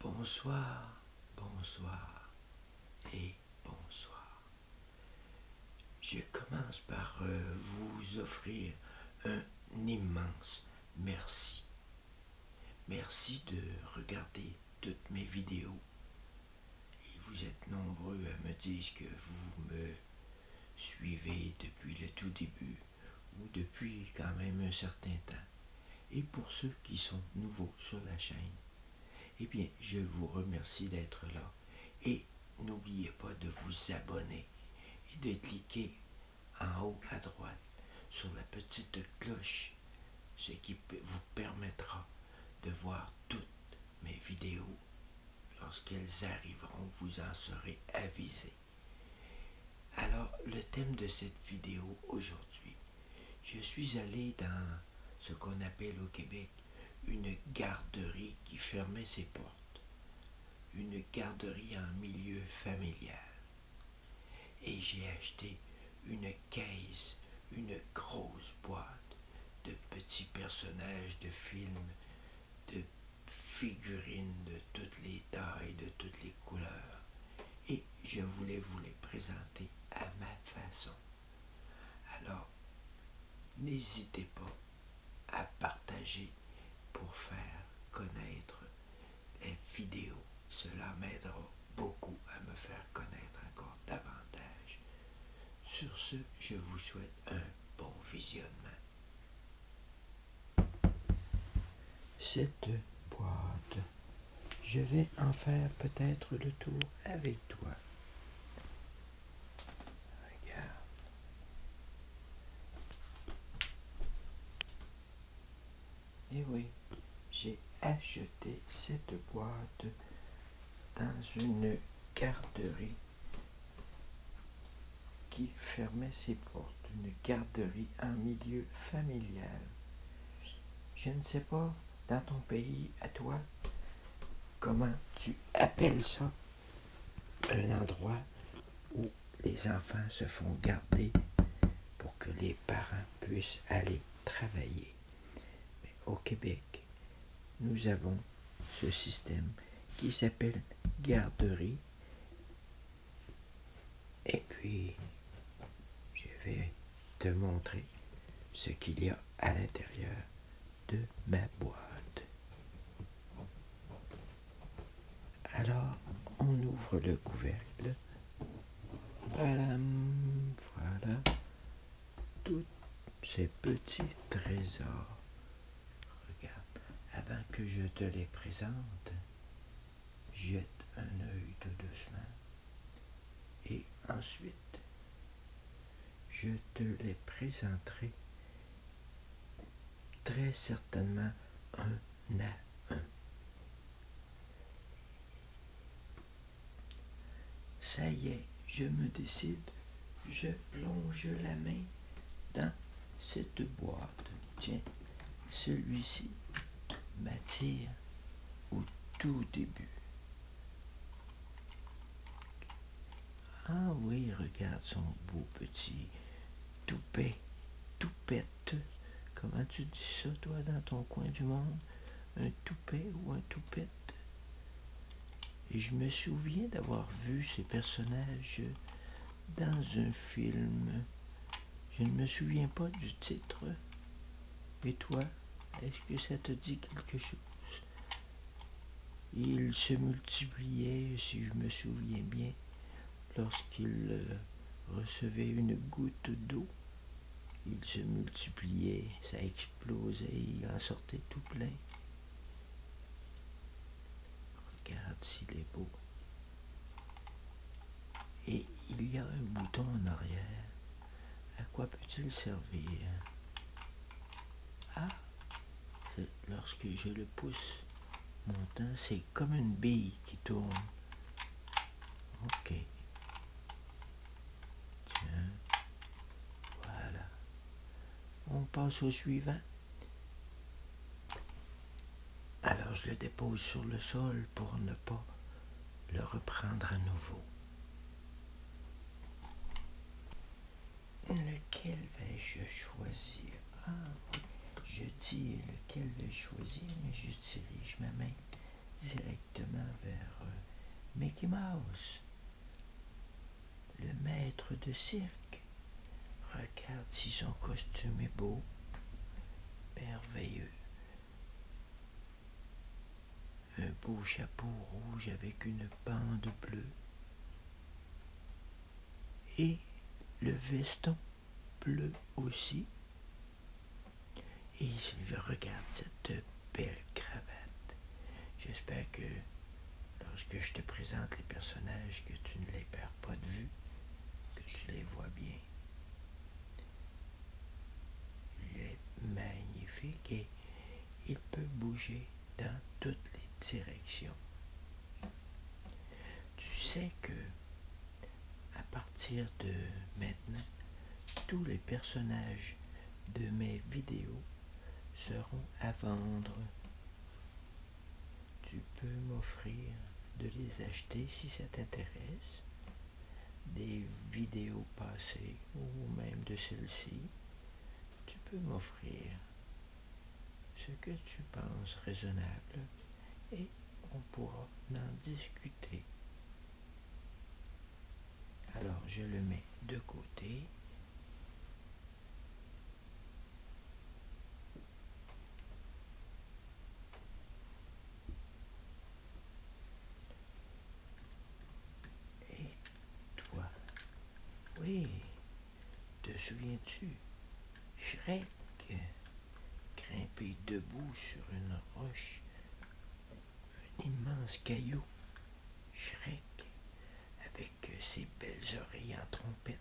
Bonsoir, bonsoir et bonsoir. Je commence par euh, vous offrir un immense merci. Merci de regarder toutes mes vidéos. Et vous êtes nombreux à me dire que vous me suivez depuis le tout début ou depuis quand même un certain temps. Et pour ceux qui sont nouveaux sur la chaîne, eh bien, je vous remercie d'être là. Et n'oubliez pas de vous abonner et de cliquer en haut à droite sur la petite cloche, ce qui vous permettra de voir toutes mes vidéos. Lorsqu'elles arriveront, vous en serez avisé. Alors, le thème de cette vidéo aujourd'hui, je suis allé dans ce qu'on appelle au Québec une garderie qui fermait ses portes, une garderie en milieu familial. Et j'ai acheté une caisse, une grosse boîte de petits personnages de films, de figurines de toutes les tailles, de toutes les couleurs, et je voulais vous les présenter à ma façon. Alors, n'hésitez pas à partager pour faire connaître les vidéos. Cela m'aidera beaucoup à me faire connaître encore davantage. Sur ce, je vous souhaite un bon visionnement cette boîte. Je vais en faire peut-être le tour avec toi. Regarde. Et eh oui, j'ai acheté cette boîte dans une garderie qui fermait ses portes d'une garderie un milieu familial. Je ne sais pas, dans ton pays, à toi, comment tu appelles ça, un endroit où les enfants se font garder pour que les parents puissent aller travailler. au Québec, nous avons ce système qui s'appelle garderie et puis, je vais te montrer ce qu'il y a à l'intérieur de ma boîte. Alors, on ouvre le couvercle. Voilà, tous ces petits trésors. Regarde, avant que je te les présente, jette un œil de doucement et ensuite je te les présenterai très certainement un à un. Ça y est, je me décide, je plonge la main dans cette boîte. Tiens, celui-ci m'attire au tout début. Ah oui, regarde son beau petit toupet, toupette. Comment tu dis ça, toi, dans ton coin du monde? Un toupet ou un toupette? Et je me souviens d'avoir vu ces personnages dans un film je ne me souviens pas du titre. mais toi, est-ce que ça te dit quelque chose Il se multipliait, si je me souviens bien, lorsqu'il euh, recevait une goutte d'eau. il se multipliait, ça explosait, il en sortait tout plein. Regarde s'il est beau. Et il y a un bouton en arrière. À quoi peut-il servir Ah Lorsque je le pousse, mon teint, c'est comme une bille qui tourne. Ok. Tiens. Voilà. On passe au suivant. Alors je le dépose sur le sol pour ne pas le reprendre à nouveau. Lequel vais-je choisir Ah je dis lequel vais-je choisir, mais j'utilise ma main directement vers euh, Mickey Mouse, le maître de cirque. Regarde si son costume est beau. Merveilleux. Un beau chapeau rouge avec une bande bleue. Et le veston bleu aussi. Et je regarde cette belle cravate. J'espère que lorsque je te présente les personnages, que tu ne les perds pas de vue, que tu les vois bien. Il est magnifique et il peut bouger dans toutes les directions. Tu sais que à partir de maintenant, tous les personnages de mes vidéos seront à vendre. Tu peux m'offrir de les acheter si ça t'intéresse, des vidéos passées ou même de celles ci tu peux m'offrir ce que tu penses raisonnable et on pourra en discuter. Alors je le mets de côté. Et toi, oui, te souviens-tu, Shrek grimpé debout sur une roche, un immense caillou, Shrek avec ses belles oreilles en trompette.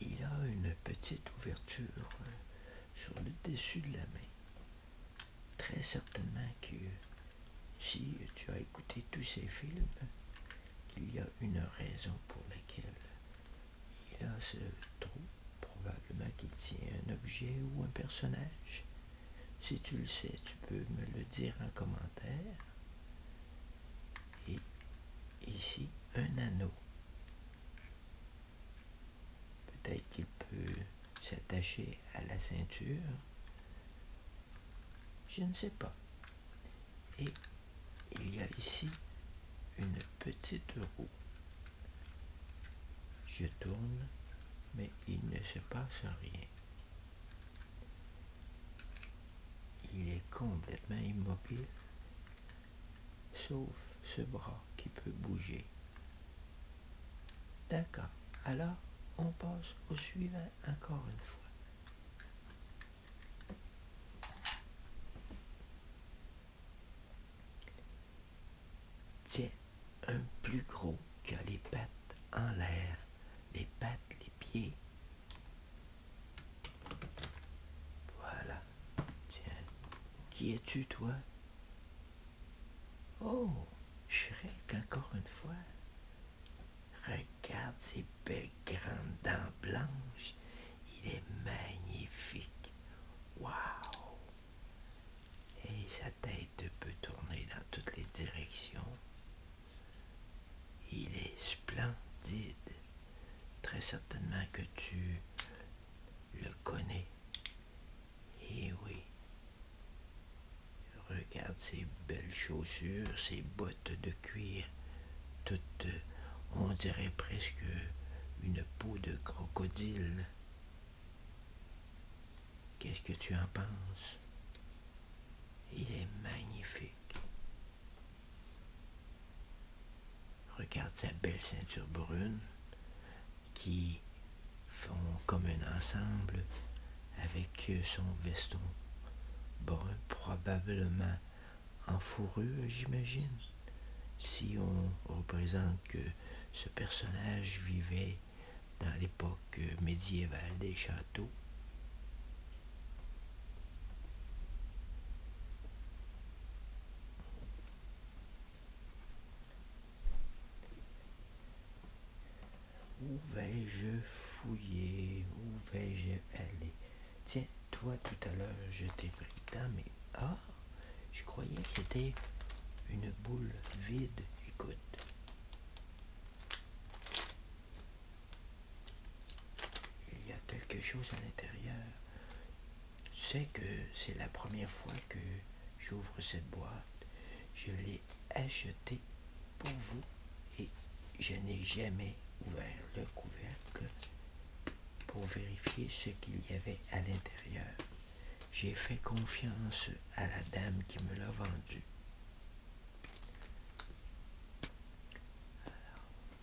Il a une petite ouverture sur le dessus de la main. Très certainement que si tu as écouté tous ces films, il y a une raison pour laquelle il a ce trou. Probablement qu'il tient un objet ou un personnage. Si tu le sais, tu peux me le dire en commentaire. Et ici, un anneau. Peut-être qu'il peut, s'attacher à la ceinture. Je ne sais pas. Et il y a ici une petite roue. Je tourne, mais il ne se passe rien. Il est complètement immobile sauf ce bras qui peut bouger. D'accord. Alors, on passe au suivant encore une fois. C'est un plus gros qui les pattes en l'air, les pattes, les pieds. Voilà. Tiens, qui es-tu, toi Oh, Shrek, encore une fois. Regarde ses belles grandes dents blanches. Il est magnifique. Waouh Et sa tête peut tourner dans toutes les directions. Il est splendide. Très certainement que tu le connaît. Eh oui. Regarde ses belles chaussures, ses bottes de cuir, toutes, on dirait presque une peau de crocodile. Qu'est-ce que tu en penses Il est magnifique. Regarde sa belle ceinture brune qui font comme un ensemble avec euh, son veston brun, probablement en fourrure, j'imagine. Si on représente que ce personnage vivait dans l'époque euh, médiévale des châteaux, où vais-je fouiller Où vais-je aller Tiens, toi tout à l'heure, je t'ai pris dans mes... Ah Je croyais que c'était une boule vide. Écoute. Il y a quelque chose à l'intérieur c'est que c'est la première fois que j'ouvre cette boîte. Je l'ai achetée pour vous et je n'ai jamais ouvert le couvercle pour vérifier ce qu'il y avait à l'intérieur. J'ai fait confiance à la dame qui me l'a vendue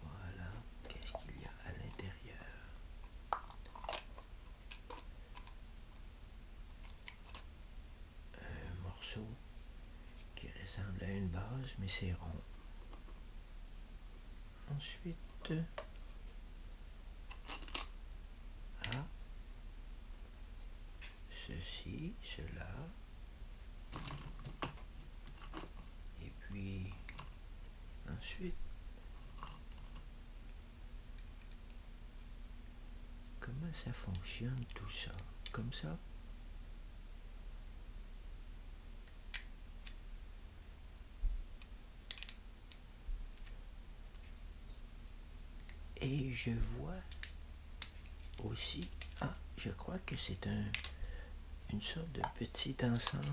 voilà, qu'est-ce qu'il y a à l'intérieur un morceau qui ressemble à une base, mais c'est rond. Ensuite, ah, ceci, cela, et puis Ensuite, comment ça fonctionne tout ça Comme ça Et je vois aussi, ah, je crois que c'est un, une sorte de petit ensemble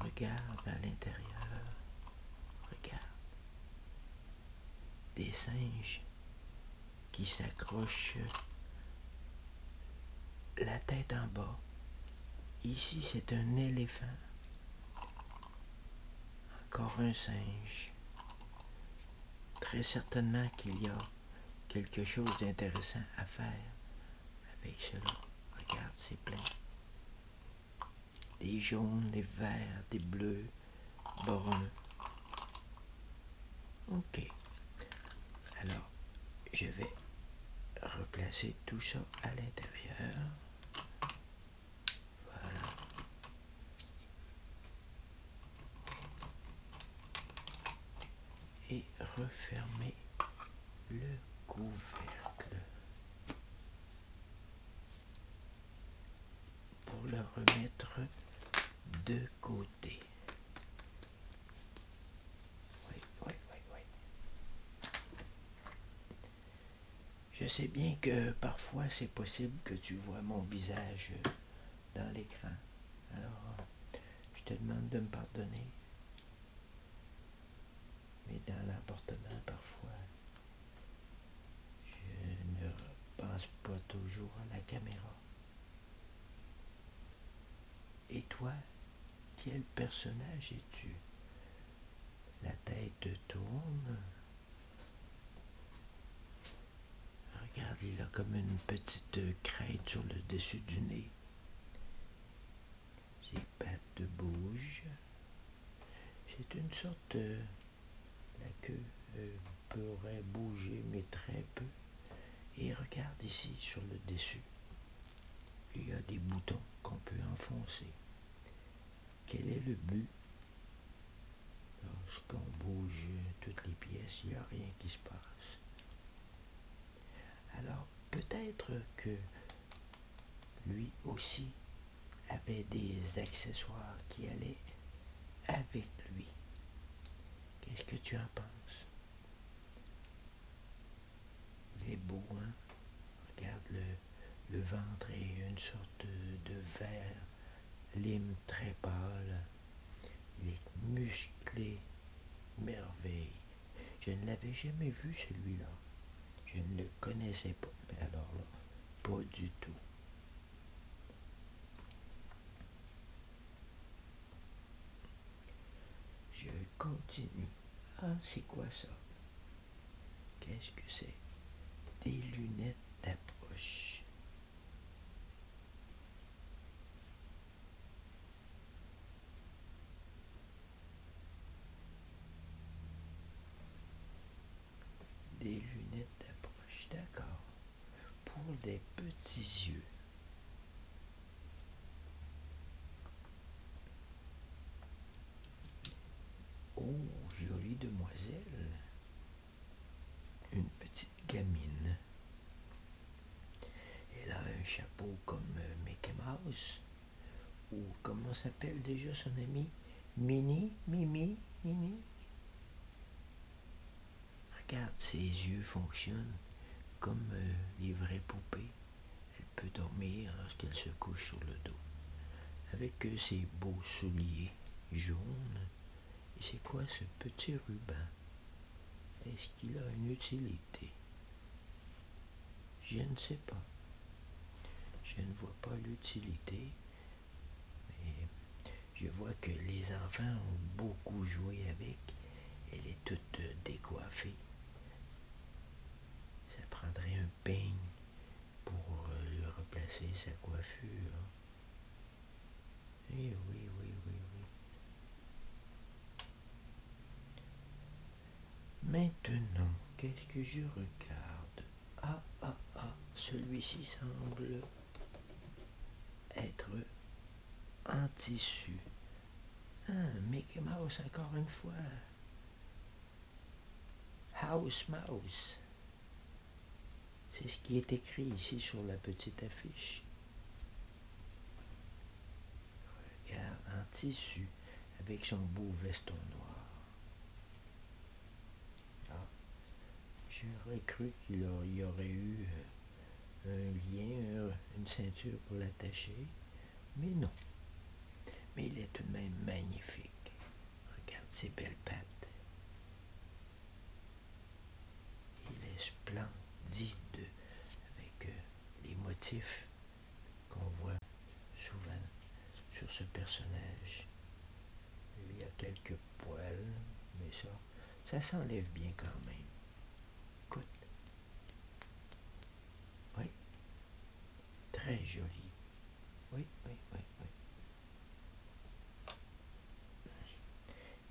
Regarde à l'intérieur. Regarde. Des singes qui s'accrochent la tête en bas. Ici, c'est un éléphant. Encore un singe. Très certainement qu'il y a quelque chose d'intéressant à faire avec cela. Regarde, c'est plein. Des jaunes, des verts, des bleus, bruns. Ok. Alors, je vais replacer tout ça à l'intérieur. Voilà. Et refermer le couvercle pour le remettre de côté. Oui, oui, oui, oui. Je sais bien que parfois c'est possible que tu vois mon visage dans l'écran. Alors, je te demande de me pardonner. Mais dans l'appartement, parfois, je ne pense pas toujours à la caméra. Et toi, quel personnage es-tu La tête tourne. Regarde, il a comme une petite crête sur le dessus du nez. Ces pattes bougent. C'est une sorte. Euh, la queue euh, pourrait bouger, mais très peu. Et regarde ici sur le dessus. Il y a des boutons qu'on peut enfoncer. Quel est le but Lorsqu'on bouge toutes les pièces, il n'y a rien qui se passe. Alors peut-être que lui aussi avait des accessoires qui allaient avec lui. Qu'est-ce que tu en penses Il est beau, hein Regarde le, ventre et une sorte de, vert, lime très pâle. Il est musclé, merveilleux je ne l'avais jamais vu, celui-là. Je ne le connaissais pas. Mais alors là, pas du tout. Je continue. Ah, c'est quoi ça? Qu'est-ce que c'est? Des lunettes d'approche. Des lunettes d'approche, d'accord. Pour des petits yeux. Oh, jolie demoiselle. Une petite gamine. Elle a un chapeau comme Mickey Mouse ou comment s'appelle déjà son amie, Mini, Mimi, Mimi. Regarde, ses yeux fonctionnent comme euh, les vraies poupées. Elle peut dormir lorsqu'elle se couche sur le dos. Avec euh, ses beaux souliers jaunes. Et c'est quoi ce petit ruban Est-ce qu'il a une utilité je ne sais pas. Je ne vois pas l'utilité. je vois que les enfants ont beaucoup joué avec. Elle est toute décoiffée. Ça prendrait un peigne pour lui euh, replacer sa coiffure. Et eh oui, oui, oui, oui. Maintenant, qu'est-ce que je regarde Ah, ah, ah, celui-ci semble être un tissu. Un ah, Mickey Mouse encore une fois. House Mouse. C'est ce qui est écrit ici sur la petite affiche regarde, un tissu, avec son beau veston noir. Ah, j'aurais cru qu'il y aurait eu euh, un lien, euh, une ceinture pour l'attacher, mais non. Mais il est tout de même magnifique. Regarde ses belles pattes. Il est splendide avec euh, les motifs qu'on voit souvent sur ce personnage. Il y a quelques poils, mais ça, ça s'enlève bien quand même. Écoute. Oui. Très joli. Oui, oui, oui,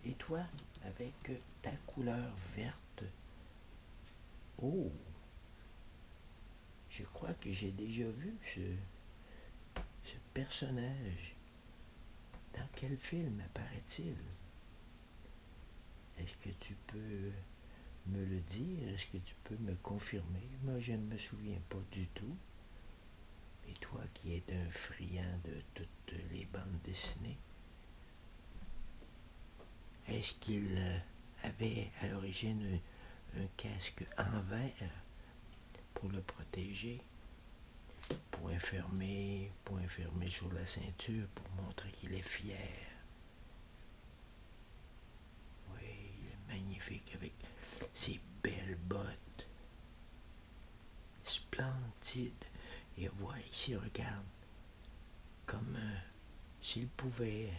oui. Et toi, avec ta couleur verte, oh, je crois que j'ai déjà vu ce, personnage. Dans quel film apparaît-il Est-ce que tu peux me le dire Est-ce que tu peux me confirmer Moi, je ne me souviens pas du tout. Et toi qui es un friand de toutes les bandes dessinées, est-ce qu'il euh, avait à l'origine un, casque en verre pour le protéger, point fermé, point fermé sur la ceinture pour montrer qu'il est fier? Oui, il est magnifique avec ses belles bottes. Splendide. Et voici, ici, regarde, comme euh, s'il pouvait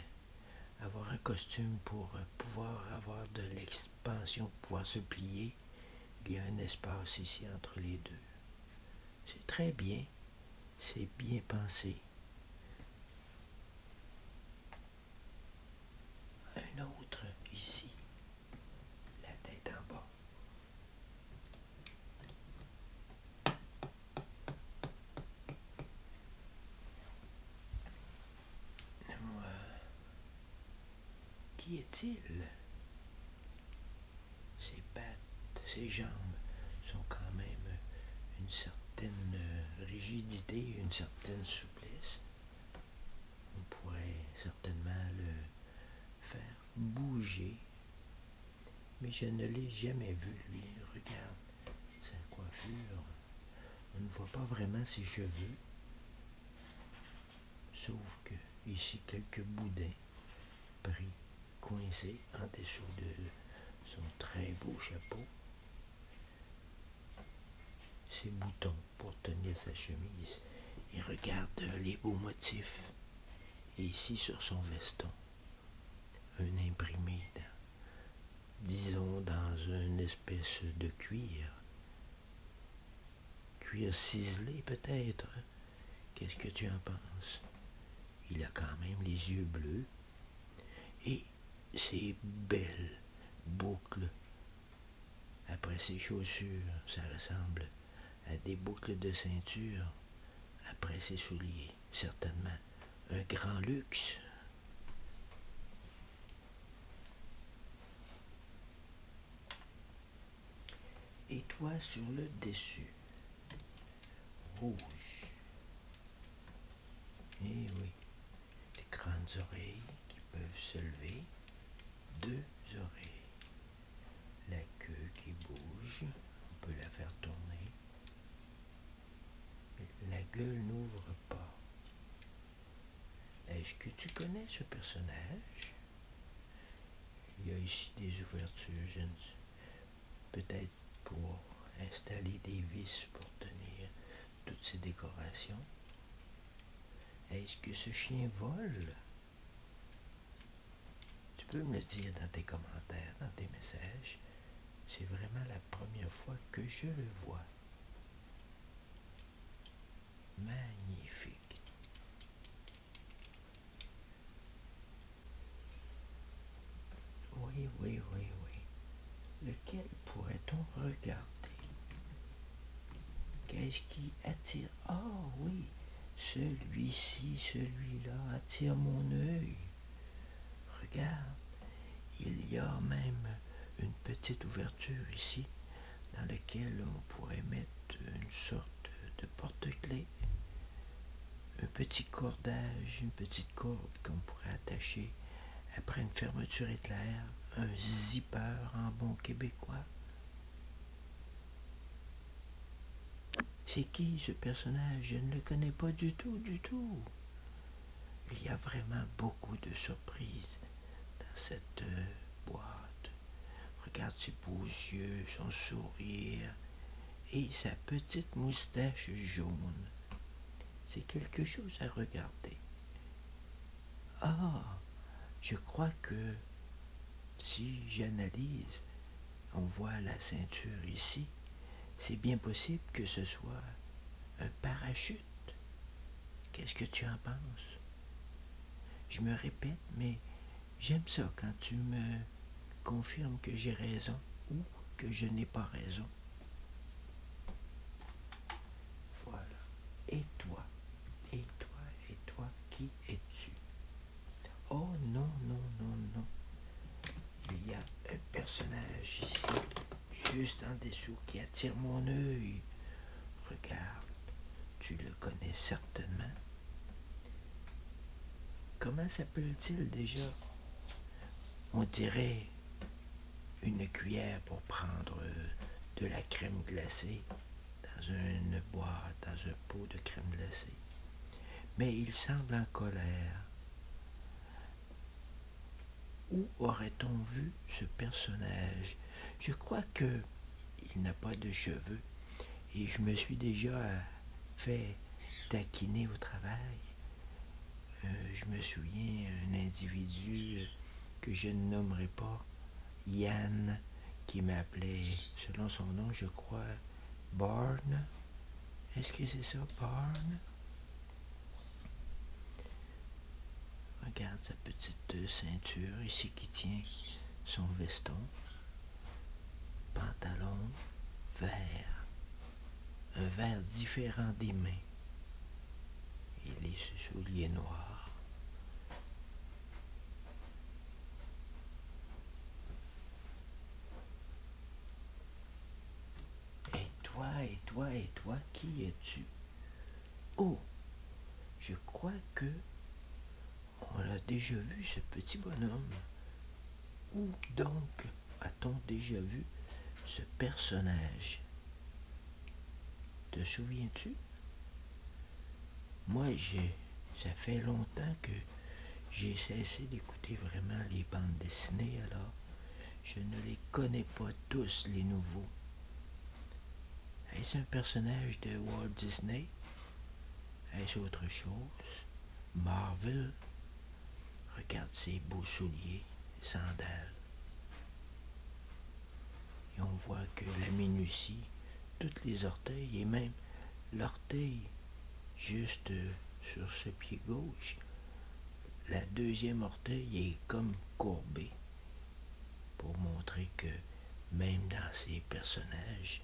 avoir un costume pour euh, pouvoir avoir de l'expansion, pouvoir se plier, il y a un espace ici entre les deux. C'est très bien, c'est bien pensé. Un autre ici, la tête en bas. Euh, qui est-il Ses pattes, ses jambes sont quand même une certaine rigidité, une certaine souplesse. On pourrait certainement le faire bouger, mais je ne l'ai jamais vu, lui. Regarde sa coiffure, on ne voit pas vraiment ses cheveux, sauf que ici quelques boudins pris, coincés en dessous de son très beau chapeau. Ses boutons pour tenir sa chemise. Et regarde les hauts motifs. ici sur son veston, un imprimé disons dans une espèce de cuir, cuir ciselé peut-être. Hein? Qu'est-ce que tu en penses Il a quand même les yeux bleus et ses belles boucles. Après ses chaussures, ça ressemble à des boucles de ceinture. Après ses souliers, certainement un grand luxe. Et toi sur le dessus, rouge. Et eh oui, des grandes oreilles qui peuvent se lever, deux oreilles, la queue qui bouge, on peut la faire tourner, la gueule n'ouvre pas. Est-ce que tu connais ce personnage Il y a ici des ouvertures, peut-être pour installer des vis pour tenir toutes ces décorations. Est-ce que ce chien vole Tu peux me le dire dans tes commentaires, dans tes messages. C'est vraiment la première fois que je le vois. Magnifique. Oui, oui, oui, oui. Lequel pourrait-on regarder Qu'est-ce qui attire Ah oui, celui-ci, celui-là attire mon œil. Regarde, il y a même une petite ouverture ici dans laquelle on pourrait mettre une sorte de porte-clés, un petit cordage, une petite corde qu'on pourrait attacher après une fermeture éclair, un zipper en bon québécois. C'est qui ce personnage Je ne le connais pas du tout, du tout. Il y a vraiment beaucoup de surprises dans cette euh, boîte. Regarde ses beaux yeux, son sourire et sa petite moustache jaune. C'est quelque chose à regarder. Ah, je crois que si j'analyse, on voit la ceinture ici. C'est bien possible que ce soit un parachute. Qu'est-ce que tu en penses? Je me répète, mais j'aime ça quand tu me confirmes que j'ai raison ou que je n'ai pas raison. Voilà. Et toi? Et toi? Et toi? Qui es-tu? Oh non, non, non, non. Il y a un personnage ici juste en dessous, qui attire mon œil. Regarde, tu le connais certainement. Comment s'appelle-t-il déjà On dirait une cuillère pour prendre de la crème glacée dans une boîte, dans un pot de crème glacée. Mais il semble en colère. Où aurait-on vu ce personnage Je crois qu'il n'a pas de cheveux et je me suis déjà fait taquiner au travail. Euh, je me souviens d'un individu que je ne nommerai pas, Yann, qui m'appelait, selon son nom, je crois, Barn. Est-ce que c'est ça, Barn Regarde sa petite euh, ceinture ici qui tient son veston. Pantalon vert. Un vert différent des mains. Et les souliers noirs. Et toi, et toi, et toi, qui es-tu Oh Je crois que. On a déjà vu, ce petit bonhomme. Où donc a-t-on déjà vu ce personnage Te souviens-tu Moi, j'ai. Ça fait longtemps que j'ai cessé d'écouter vraiment les bandes dessinées, alors je ne les connais pas tous, les nouveaux. Est-ce un personnage de Walt Disney Est-ce autre chose Marvel Regarde ces beaux souliers, sandales. Et on voit que la minutie, toutes les orteils et même l'orteil juste sur ce pied gauche la deuxième orteil est comme courbée pour montrer que même dans ces personnages,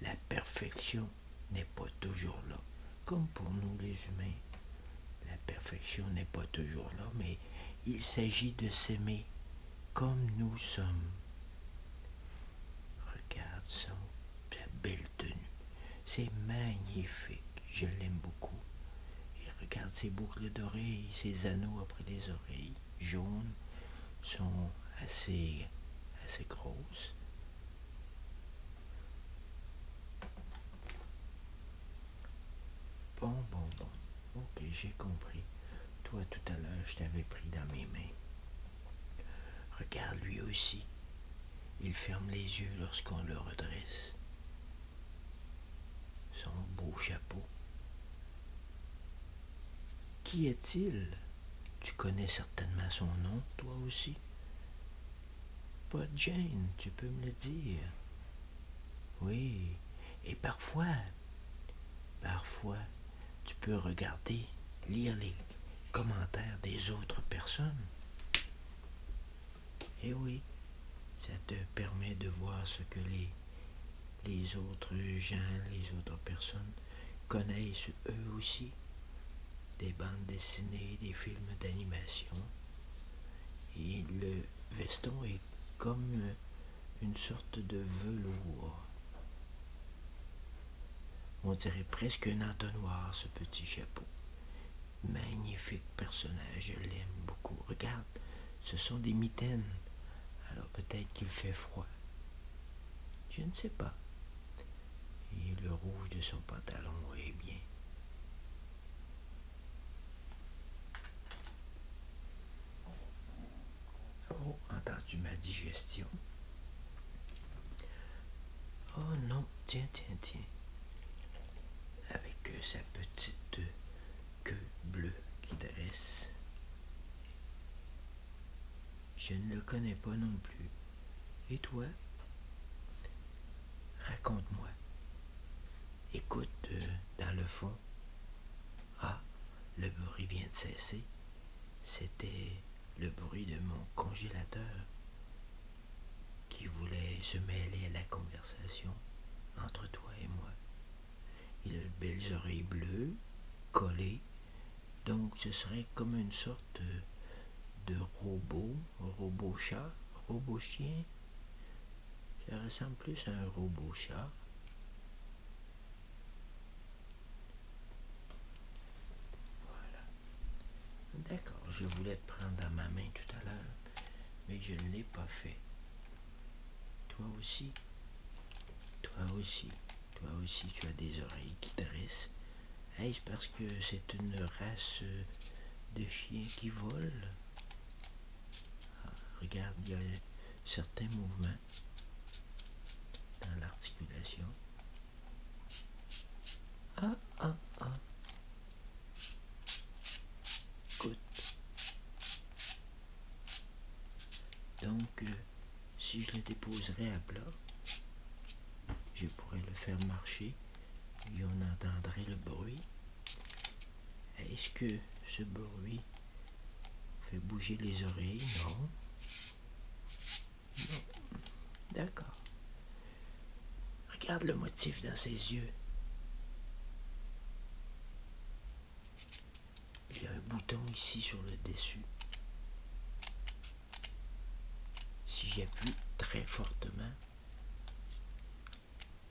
la perfection n'est pas toujours là. Comme pour nous les humains, la perfection n'est pas toujours là, mais il s'agit de s'aimer comme nous sommes. Regarde ça, sa belle tenue. C'est magnifique, je l'aime beaucoup. Et regarde ses boucles d'oreilles, ses anneaux après les oreilles jaunes sont assez, assez grosses. Bon, bon, bon. Ok, j'ai compris. Toi, tout à l'heure, je t'avais pris dans mes mains. Regarde lui aussi. Il ferme les yeux lorsqu'on le redresse. Son beau chapeau. Qui est-il Tu connais certainement son nom, toi aussi. Pas Jane, tu peux me le dire. Oui, et parfois, parfois, tu peux regarder, lire les commentaires des autres personnes. Et eh oui, ça te permet de voir ce que les, les autres gens, les autres personnes connaissent eux aussi. Des bandes dessinées, des films d'animation. Et le veston est comme une sorte de velours. On dirait presque un entonnoir, ce petit chapeau. Magnifique personnage, je l'aime beaucoup. Regarde, ce sont des mitaines. Alors peut-être qu'il fait froid. Je ne sais pas. Et le rouge de son pantalon est bien. Oh, entends-tu ma digestion. Oh non, tiens, tiens, tiens avec euh, sa petite queue bleue qui dresse. Je ne le connais pas non plus. Et toi Raconte-moi. Écoute euh, dans le fond. Ah, le bruit vient de cesser. C'était le bruit de mon congélateur qui voulait se mêler à la conversation entre toi et moi. Il a de belles oreilles bleues, collées, donc ce serait comme une sorte de robot, robot chat, robot chien. Ça ressemble plus à un robot chat. Voilà. D'accord, je voulais te prendre dans ma main tout à l'heure mais je ne l'ai pas fait. Toi aussi, toi aussi, toi aussi, tu as des oreilles qui dressent. Est-ce parce que c'est une race euh, de chiens qui volent ah, Regarde, il y a certains mouvements dans l'articulation. Ah, ah, ah. Donc, euh, si je le déposerais à plat, je pourrais le faire marcher et on entendrait le bruit. Est-ce que ce bruit fait bouger les oreilles Non. D'accord. Regarde le motif dans ses yeux. Il y a un bouton ici sur le dessus. Si j'appuie très fortement,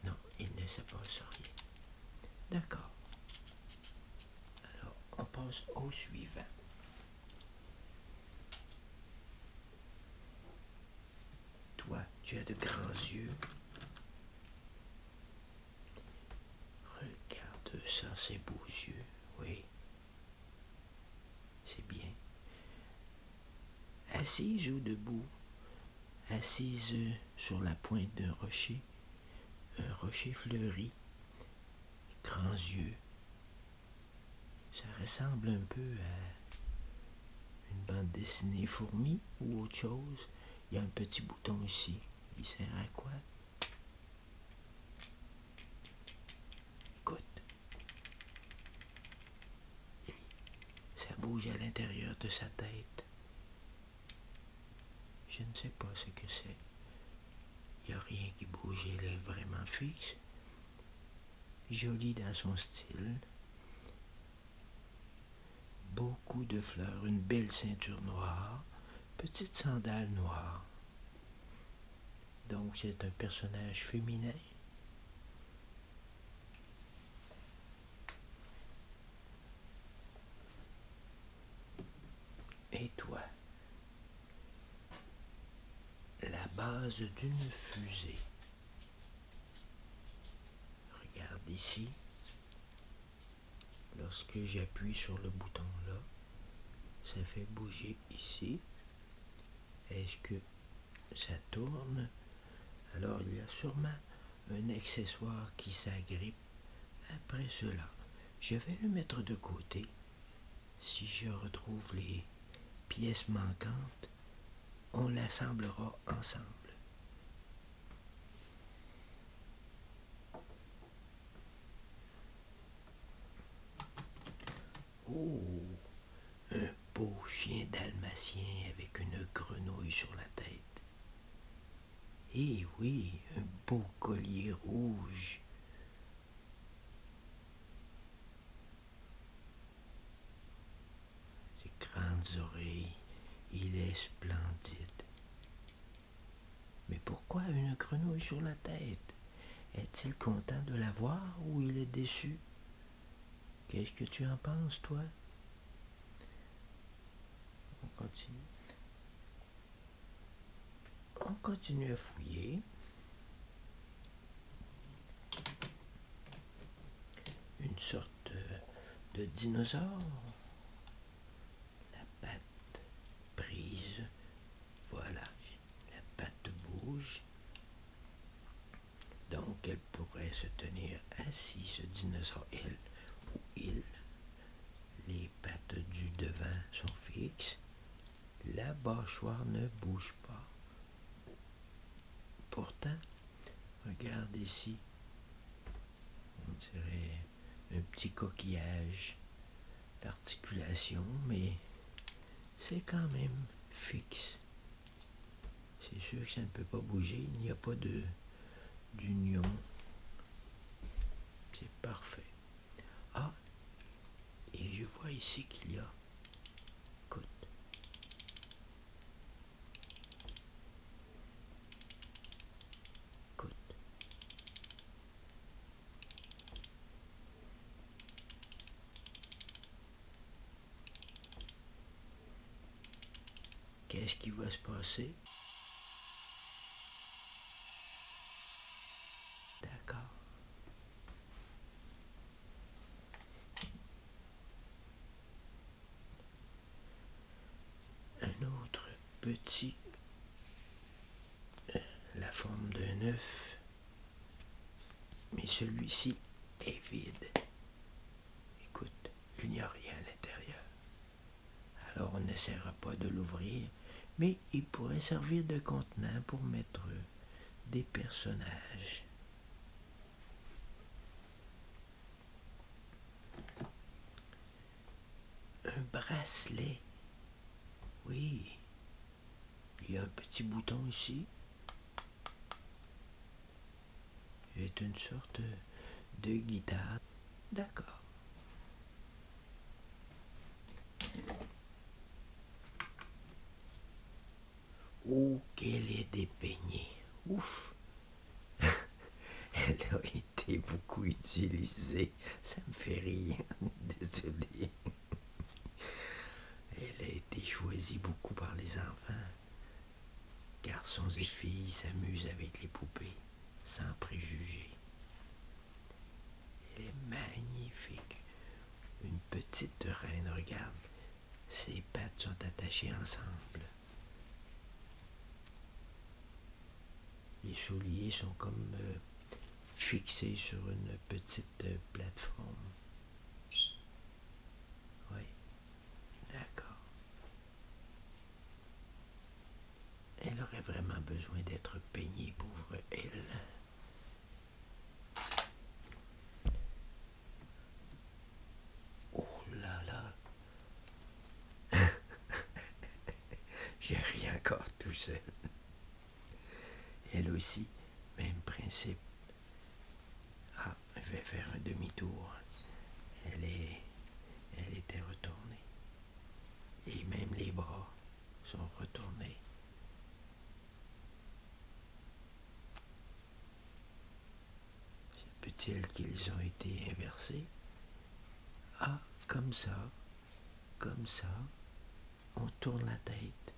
non, il ne se passe rien. D'accord. Alors, on passe au suivant. Toi, tu as de grands yeux. Regarde ça, ces beaux yeux, oui. C'est bien. Assise ou debout, assise euh, sur la pointe d'un rocher, un rocher fleuri, grands yeux. Ça ressemble un peu à une bande dessinée fourmi ou autre chose. Il y a un petit bouton ici. Il sert à quoi? Écoute. Ça bouge à l'intérieur de sa tête. Je ne sais pas ce que c'est. Il n'y a rien qui bouge, elle est vraiment fixe. Jolie dans son style. Beaucoup de fleurs, une belle ceinture noire, petites sandales noires, Donc c'est un personnage féminin. Et toi, la base d'une fusée. Regarde ici. Lorsque j'appuie sur le bouton là, ça fait bouger ici. Est-ce que ça tourne Alors il y a sûrement un accessoire qui s'agrippe après cela. Je vais le mettre de côté. Si je retrouve les pièces manquantes, on l'assemblera ensemble. Oh, un beau chien dalmatien avec une grenouille sur la tête. Eh oui, un beau collier rouge. Ses grandes oreilles, il est splendide. Mais pourquoi une grenouille sur la tête Est-il content de la voir ou il est déçu Qu'est-ce que tu en penses, toi On continue. On continue à fouiller. Une sorte de dinosaures. La patte prise, voilà, la patte bouge. Donc elle pourrait se tenir assise, ce dinosaure, il ou il. Les pattes du devant sont fixes. La mâchoire ne bouge pas. Pourtant, Regarde ici. On dirait un petit coquillage d'articulation, mais c'est quand même fixe. C'est sûr que ça ne peut pas bouger, il n'y a pas de d'union. C'est parfait. Ah, et je vois ici qu'il y a, Qu'est-ce qui va se passer D'accord un autre petit, la forme d'un œuf, mais celui-ci est vide. Écoute, il n'y a rien à l'intérieur. Alors on n'essaiera pas de l'ouvrir, mais il pourrait servir de contenant pour mettre des personnages. Un bracelet. Oui. Il y a un petit bouton ici. C'est une sorte de guitare. D'accord ou qu'elle est dépeignée. Ouf. Elle a été beaucoup utilisée. Ça me fait rire. Désolé. Elle a été choisie beaucoup par les enfants. Garçons et filles s'amusent avec les poupées, sans préjugés. Elle est magnifique. Une petite reine, regarde. Ses pattes sont attachées ensemble. Les souliers sont comme euh, fixés sur une petite euh, plateforme. Oui, d'accord. Elle aurait vraiment besoin d'être peignée, pauvre elle. Oh là là J'ai rien encore tout seul. Elle aussi, même principe. Ah, je vais faire un demi-tour. Elle est. Elle était retournée. Et même les bras sont retournés peut-il qu'ils ont été inversés Ah, comme ça, comme ça, on tourne la tête.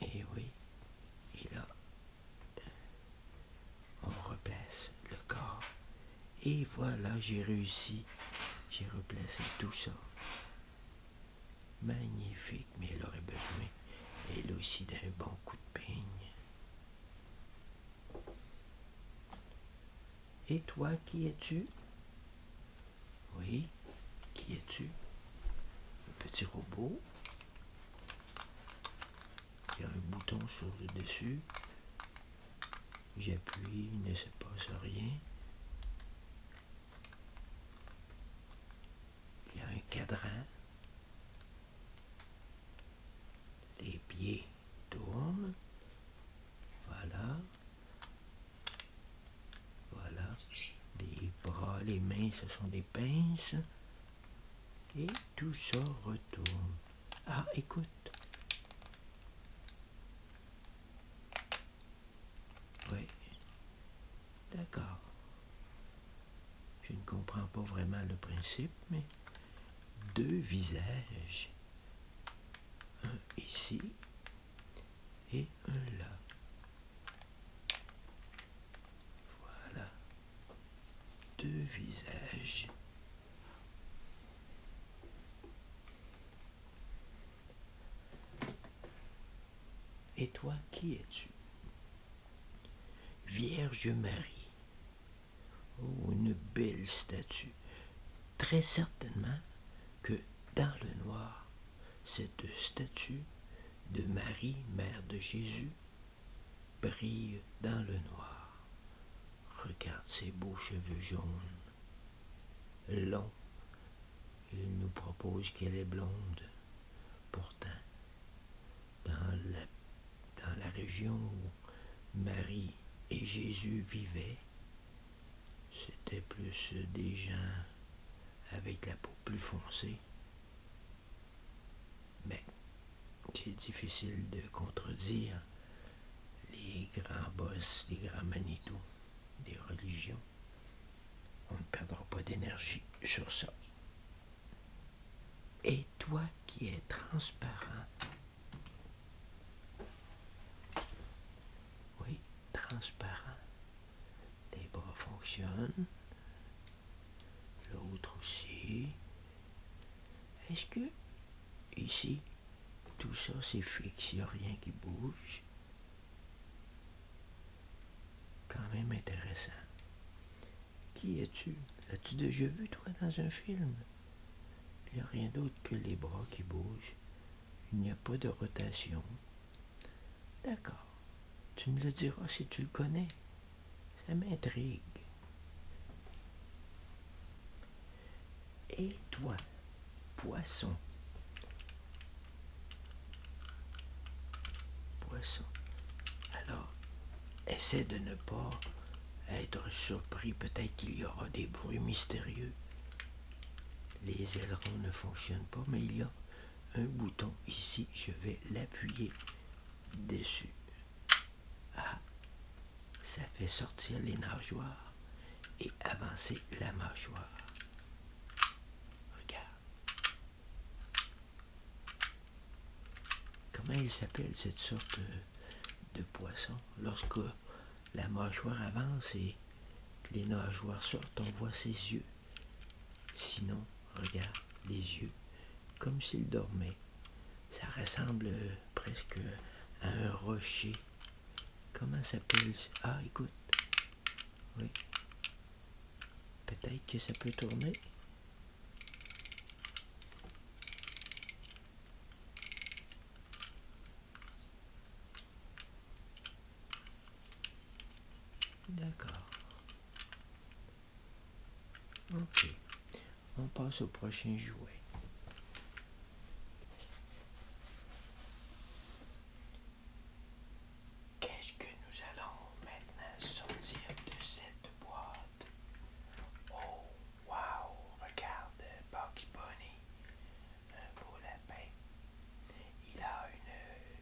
Et oui, et là, on replace le corps. Et voilà, j'ai réussi. J'ai replacé tout ça. Magnifique, mais elle aurait besoin, elle aussi, d'un bon coup de peigne. Et toi, qui es-tu Oui, qui es-tu Un petit robot. Il y a un bouton sur le dessus. J'appuie, il ne se passe rien. Il y a un cadran. Les pieds tournent. Voilà. Voilà. Les bras, les mains, ce sont des pinces. Et tout ça retourne. Ah, écoute. Oui. D'accord je ne comprends pas vraiment le principe, mais deux visages, un ici et un là. Voilà, deux visages. Et toi, qui es-tu Vierge Marie Oh, une belle statue. Très certainement que dans le noir, cette statue de Marie, Mère de Jésus, brille dans le noir. Regarde ses beaux cheveux jaunes, longs. Il nous propose qu'elle est blonde. Pourtant, dans la, région où Marie et Jésus vivaient, c'était plus des gens avec la peau plus foncée. Mais c'est difficile de contredire les grands boss, les grands manitous des religions. On ne perdra pas d'énergie sur ça. Et toi qui es transparent, oui, transparent, tes bras fonctionnent, l'autre aussi. Est-ce que ici, tout ça c'est fixe, il n'y a rien qui bouge Quand même intéressant. Qui es-tu L'as-tu déjà vu, toi, dans un film Il n'y a rien d'autre que les bras qui bougent. Il n'y a pas de rotation. D'accord. Tu me le diras si tu le connais. Ça m'intrigue. Et toi, poisson Poisson. Alors, Essaie de ne pas être surpris, peut-être qu'il y aura des bruits mystérieux. Les ailerons ne fonctionnent pas, mais il y a un bouton ici, je vais l'appuyer dessus. Ah, ça fait sortir les nageoires et avancer la mâchoire. Regarde. Comment il s'appelle cette sorte de poisson? Lorsque la mâchoire avance et les nageoires sortent, on voit ses yeux. Sinon, regarde les yeux, comme s'il dormait. Ça ressemble presque à un rocher. Comment s'appelle Ah, écoute. Oui. Peut-être que ça peut tourner. D'accord. Ok. On passe au prochain jouet. Qu'est-ce que nous allons maintenant sortir de cette boîte. Oh, wow! Regarde, Box Bunny. Un euh, beau lapin. Il a une euh,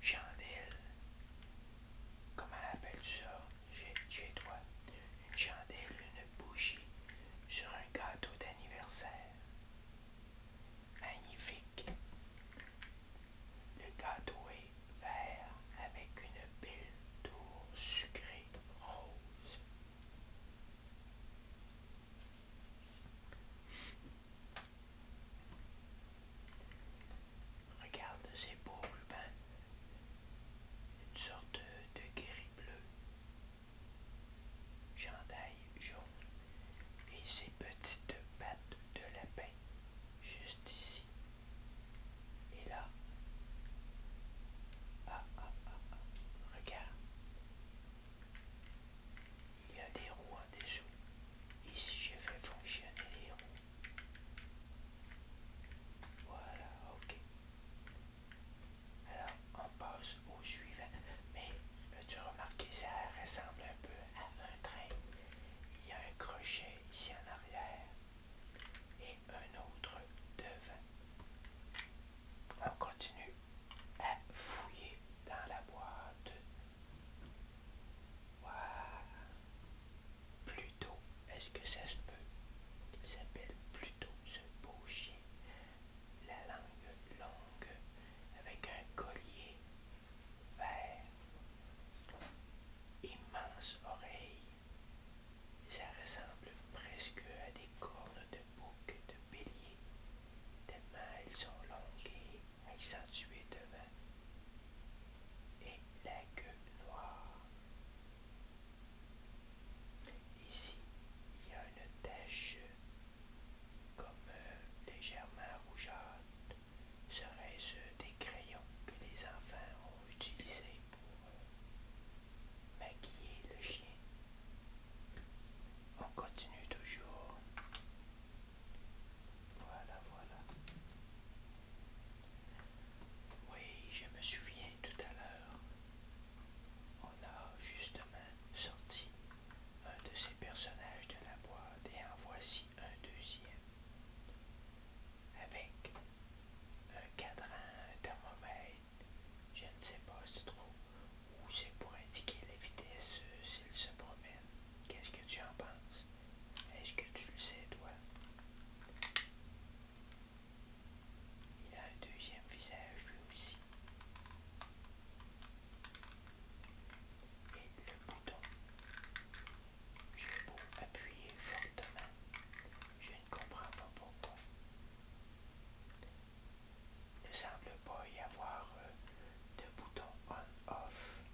chandelle. Comment appelles-tu ça chez toi? Une chandelle, une bougie sur un gâteau d'anniversaire. Magnifique. Le gâteau est vert avec une belle tour sucrée rose. Regarde ces beaux rubans, une sorte de guéri bleu, chandail jaune et ces petites pattes de lapin juste ici. Et là. Ah, ah, ah, ah, Regarde. Il y a des roues en dessous. Ici, j'ai fait fonctionner les roues. Voilà, ok. Alors, on passe au suivant. Mais, as-tu remarqué, ça ressemble un peu à un train. Il y a un crochet ici en arrière un autre devant. On continue à fouiller dans la boîte. Voilà. Pluto, est-ce que ça se peut? Il s'appelle Pluto, ce beau chien. La langue longue avec un collier vert. Immense oreille ça ressemble presque à des cornes de bouc de bélier, tellement elles sont longues et accentuées devant, et la queue noire. Ici, il y a une tache comme euh, légèrement rougeâtre. Serait-ce des crayons que les enfants ont utilisés maquiller le chien. On continue toujours. Voilà, voilà. Oui, je me souviens tout à l'heure. On a justement sorti un de ces personnages de la boîte et en voici un deuxième avec un cadran, un thermomètre, je ne sais pas c'est trop, ou c'est pour indiquer la vitesse euh, s'il se promène. Qu'est-ce que tu en penses? Est-ce que tu le sais toi? Il a un deuxième visage lui aussi. Et le bouton. J'ai beau appuyer fortement, je ne comprends pas pourquoi. Il ne semble pas y avoir de bouton on-off.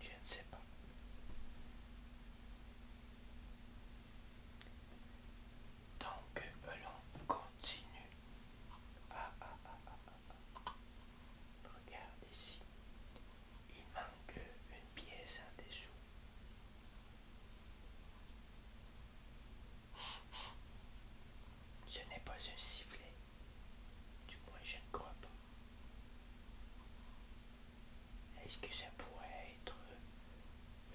Je ne sais pas. Donc, allons continuer. Ah, ah, ah, ah, ah. Regarde ici il manque une pièce en dessous. Ce n'est pas un sifflet. Du moins, je ne crois pas. Est-ce que ça pourrait être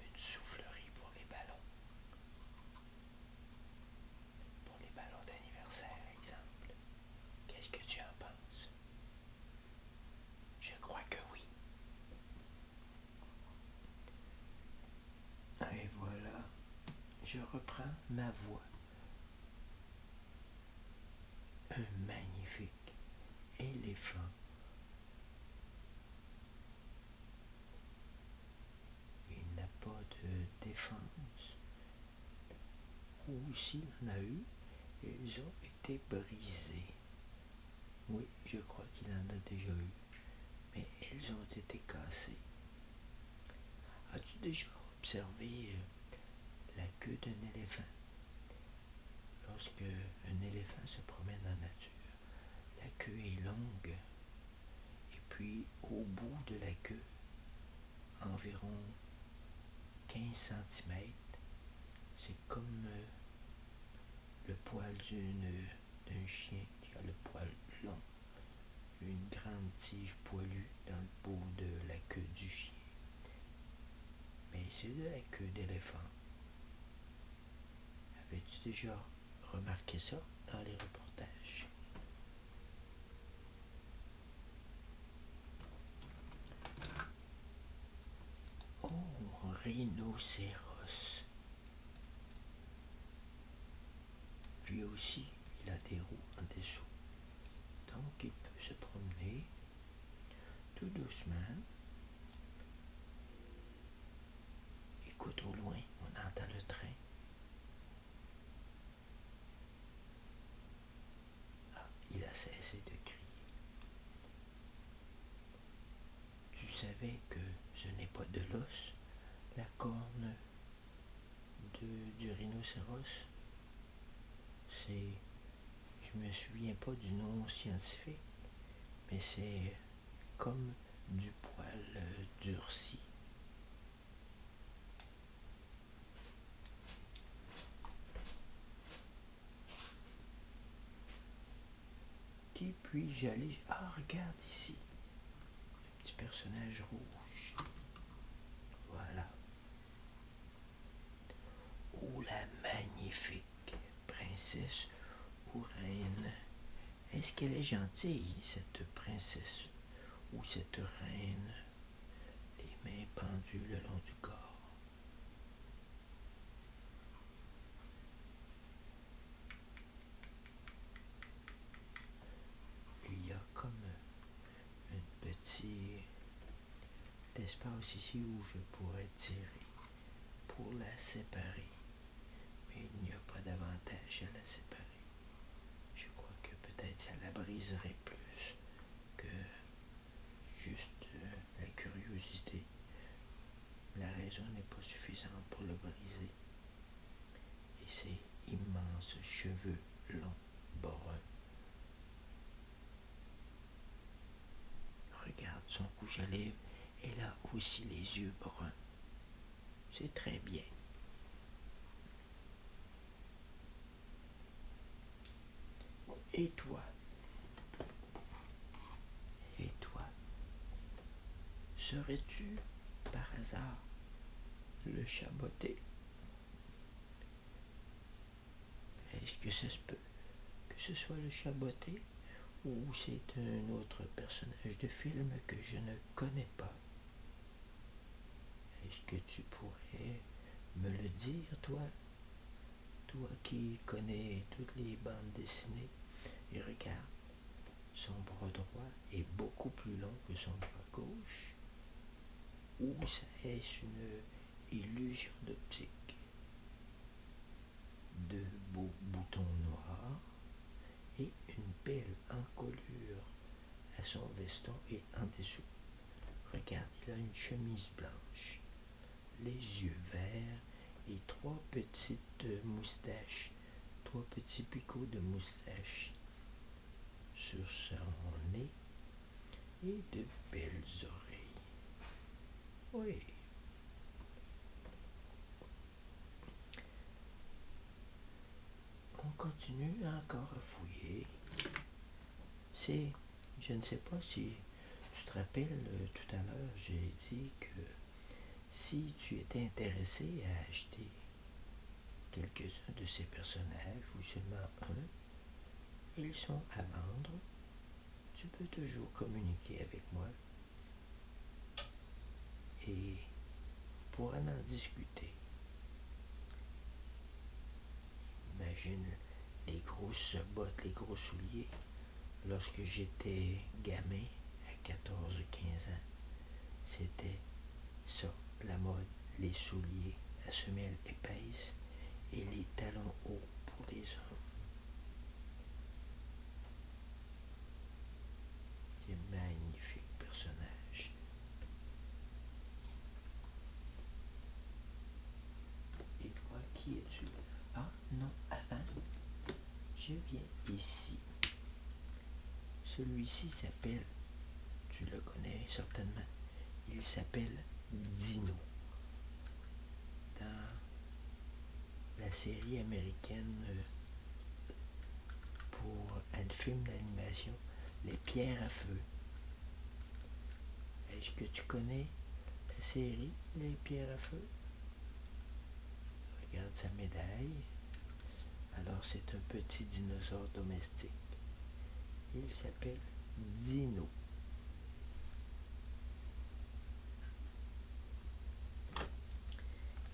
une soufflerie pour les ballons? Pour les ballons d'anniversaire, exemple. Qu'est-ce que tu en penses? Je crois que oui. Ah, et voilà, je reprends ma voix. Un magnifique éléphant. Il n'a pas de défense. Ou s'il en a eu, ils ont été brisés. Oui, je crois qu'il en a déjà eu, mais elles ont été cassées. As-tu déjà observé euh, la queue d'un éléphant? Lorsque un éléphant se promène en nature, la queue est longue et puis au bout de la queue, environ 15 cm. C'est comme euh, le poil d'un chien qui a le poil long. Une grande tige poilue dans le bout de la queue du chien. Mais c'est de la queue d'éléphant. Avais-tu déjà remarqué ça dans les reportages? Oh, rhinocéros. Lui aussi, il a des roues en dessous. Donc, il peut se promener tout doucement. Écoute au loin, on entend le train. Ah, il a cessé de crier. Tu savais que je n'ai pas de l'os, la corne du rhinocéros C'est. Je me souviens pas du nom scientifique, mais c'est comme du poil euh, durci. Qui puis-je aller Ah, regarde ici. Le petit personnage rouge. Voilà. Oh, la magnifique princesse ou reine. Est-ce qu'elle est gentille, cette princesse ou cette reine Les mains pendues le long du corps. Il y a comme un petit espace ici où je pourrais tirer pour la séparer. Mais il n'y a pas d'avantage à la séparer. Je crois que peut-être ça la briserait plus que juste euh, la curiosité. La raison n'est pas suffisante pour le briser. Et ses immenses cheveux longs, bruns, regarde son couche à lèvres, et a aussi les yeux bruns. C'est très bien. Et toi Et toi Serais-tu par hasard le chaboté Est-ce que ça se peut que ce soit le chaboté ou c'est un autre personnage de film que je ne connais pas Est-ce que tu pourrais me le dire, toi toi qui connais toutes les bandes dessinées, et regarde, son bras droit est beaucoup plus long que son bras gauche. Ou est-ce une illusion d'optique Deux beaux boutons noirs et une belle encolure à son veston et un dessous. Regarde, il a une chemise blanche les yeux verts et trois petites euh, moustaches, trois petits picots de moustaches sur son nez et de belles oreilles. Oui. On continue encore à fouiller. C'est je ne sais pas si tu te rappelles, euh, tout à l'heure, j'ai dit que si tu étais intéressé à acheter quelques-uns de ces personnages, ou seulement un, ils sont à vendre, tu peux toujours communiquer avec moi. Et pour en discuter, imagine les grosses bottes, les gros souliers lorsque j'étais gamin, à 14 ou 15 ans, c'était ça, la mode, les souliers à semelles épaisses et les talons hauts pour les hommes. C'est magnifique personnage. Et toi, qui es-tu? Ah, non avant. Je viens ici. Celui-ci s'appelle, tu le connais certainement, il s'appelle Dino. Dans la série américaine euh, pour un film d'animation, Les pierres à feu. Est-ce que tu connais la série Les pierres à feu. Regarde sa médaille. Alors c'est un petit dinosaure domestique. Il s'appelle Dino.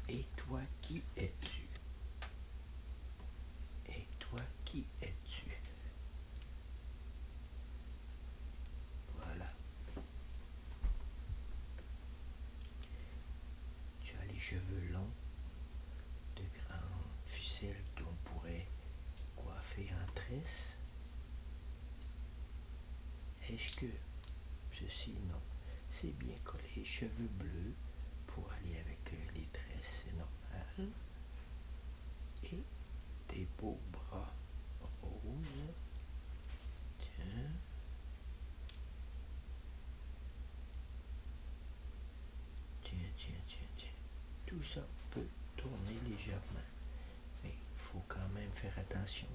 Et toi qui es-tu Et toi qui es-tu Voilà. Tu as les cheveux longs, de grandes ficelles qu'on pourrait coiffer en tresse. Est-ce que ceci non, c'est bien collé, cheveux bleus pour aller avec les tresses, c'est normal. Et tes beaux bras roses. Tiens. Tiens, tiens, tiens, Tout ça peut tourner légèrement. Mais il faut quand même faire attention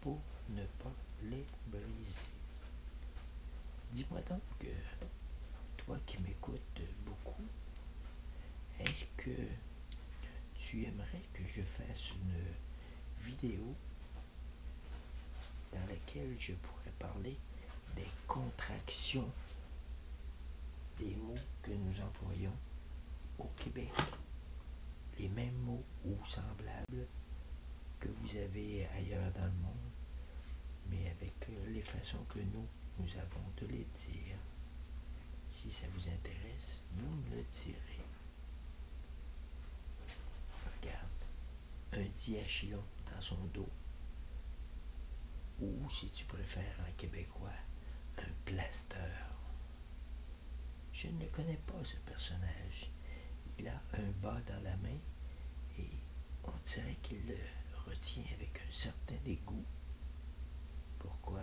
pour ne pas les briser. Dis-moi donc, euh, toi qui m'écoutes beaucoup, est-ce que tu aimerais que je fasse une vidéo dans laquelle je pourrais parler des contractions des mots que nous employons au Québec. Les mêmes mots ou semblables que vous avez ailleurs dans le monde, mais avec euh, les façons que nous, nous avons de les dire. Si ça vous intéresse, vous le direz. Regarde, un diachylon dans son dos. Ou, si tu préfères un québécois, un plaster. Je ne connais pas ce personnage. Il a un bas dans la main et on dirait qu'il le retient avec un certain dégoût. Pourquoi?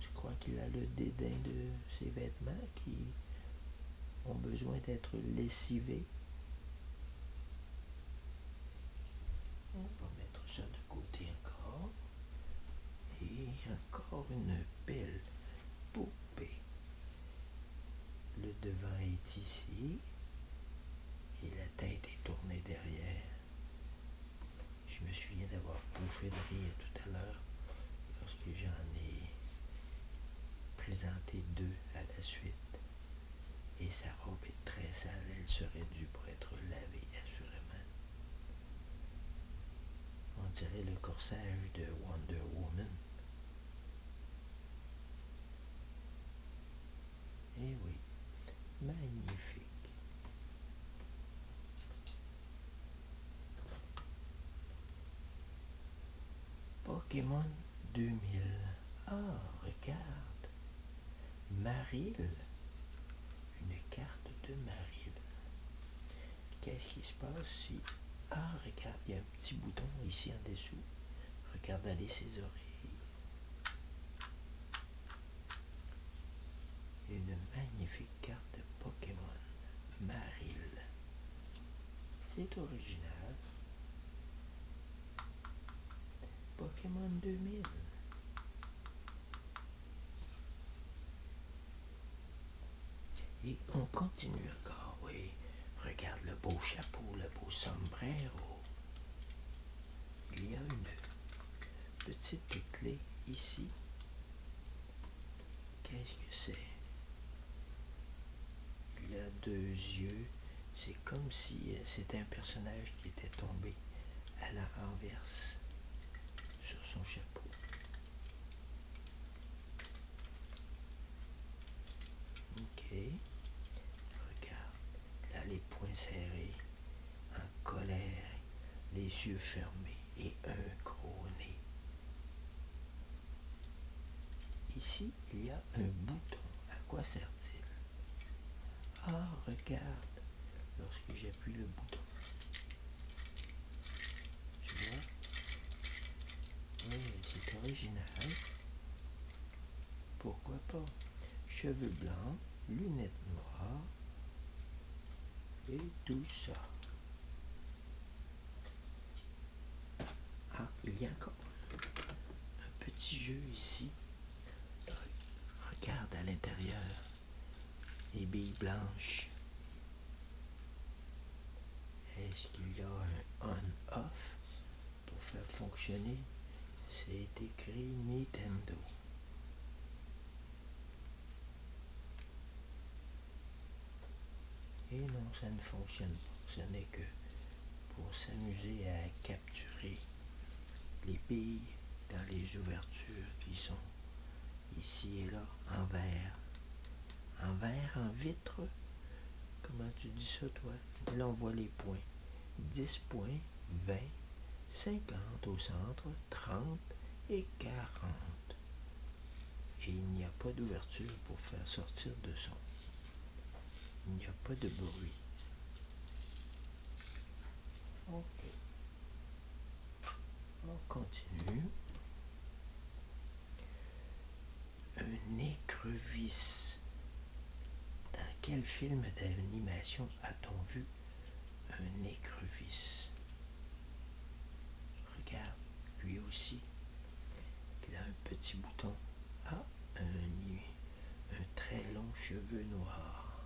Je crois qu'il a le dédain de ses vêtements qui ont besoin d'être lessivés? On va mettre ça de côté encore. Et encore une belle poupée. Le devant est ici et la tête est tournée derrière. Je me souviens d'avoir bouffé de rire tout à l'heure lorsque j'en ai présenté deux à la suite. Et sa robe est très sale, elle serait due pour être lavée assurément. On dirait le corsage de Wonder Woman. Eh oui, magnifique. Pokémon 2000. Ah, regarde. Maril. Une carte de Maril. Qu'est-ce qui se passe si... Ah, regarde, il y a un petit bouton ici en dessous. Regarde aller ses oreilles. Une magnifique carte de Pokémon, Maril. C'est original. Pokémon 2000. Et on continue encore, oui. Regarde le beau chapeau, le beau sombrero il y a une petite clé ici. Qu'est-ce que c'est Il y a deux yeux. C'est comme si euh, c'était un personnage qui était tombé à la renverse sur son chapeau. Ok. Regarde. Là, les points serrés en colère, les yeux fermés et un gros nez. Ici, il y a un bouton. À quoi sert-il Ah, regarde, lorsque j'appuie le bouton. Tu vois Oui, c'est original. Pourquoi pas Cheveux blancs, lunettes noires, et tout ça. Ah, il y a encore un petit jeu ici. Regarde à l'intérieur les billes blanches. Est-ce qu'il y a un on-off pour faire fonctionner C'est écrit Nintendo. Et non, ça ne fonctionne pas. Ce n'est que pour s'amuser à capturer les billes dans les ouvertures qui sont ici et là en verre. En verre, en vitre. Comment tu dis ça, toi? là, on voit les points. 10 points, 20, 50 au centre, 30 et 40. Et il n'y a pas d'ouverture pour faire sortir de son. Il n'y a pas de bruit. OK. On continue. Un écrevisse. Dans quel film d'animation a-t-on vu un écrevisse. Regarde, lui aussi, il a un petit bouton. Ah, un, un très long cheveu noir.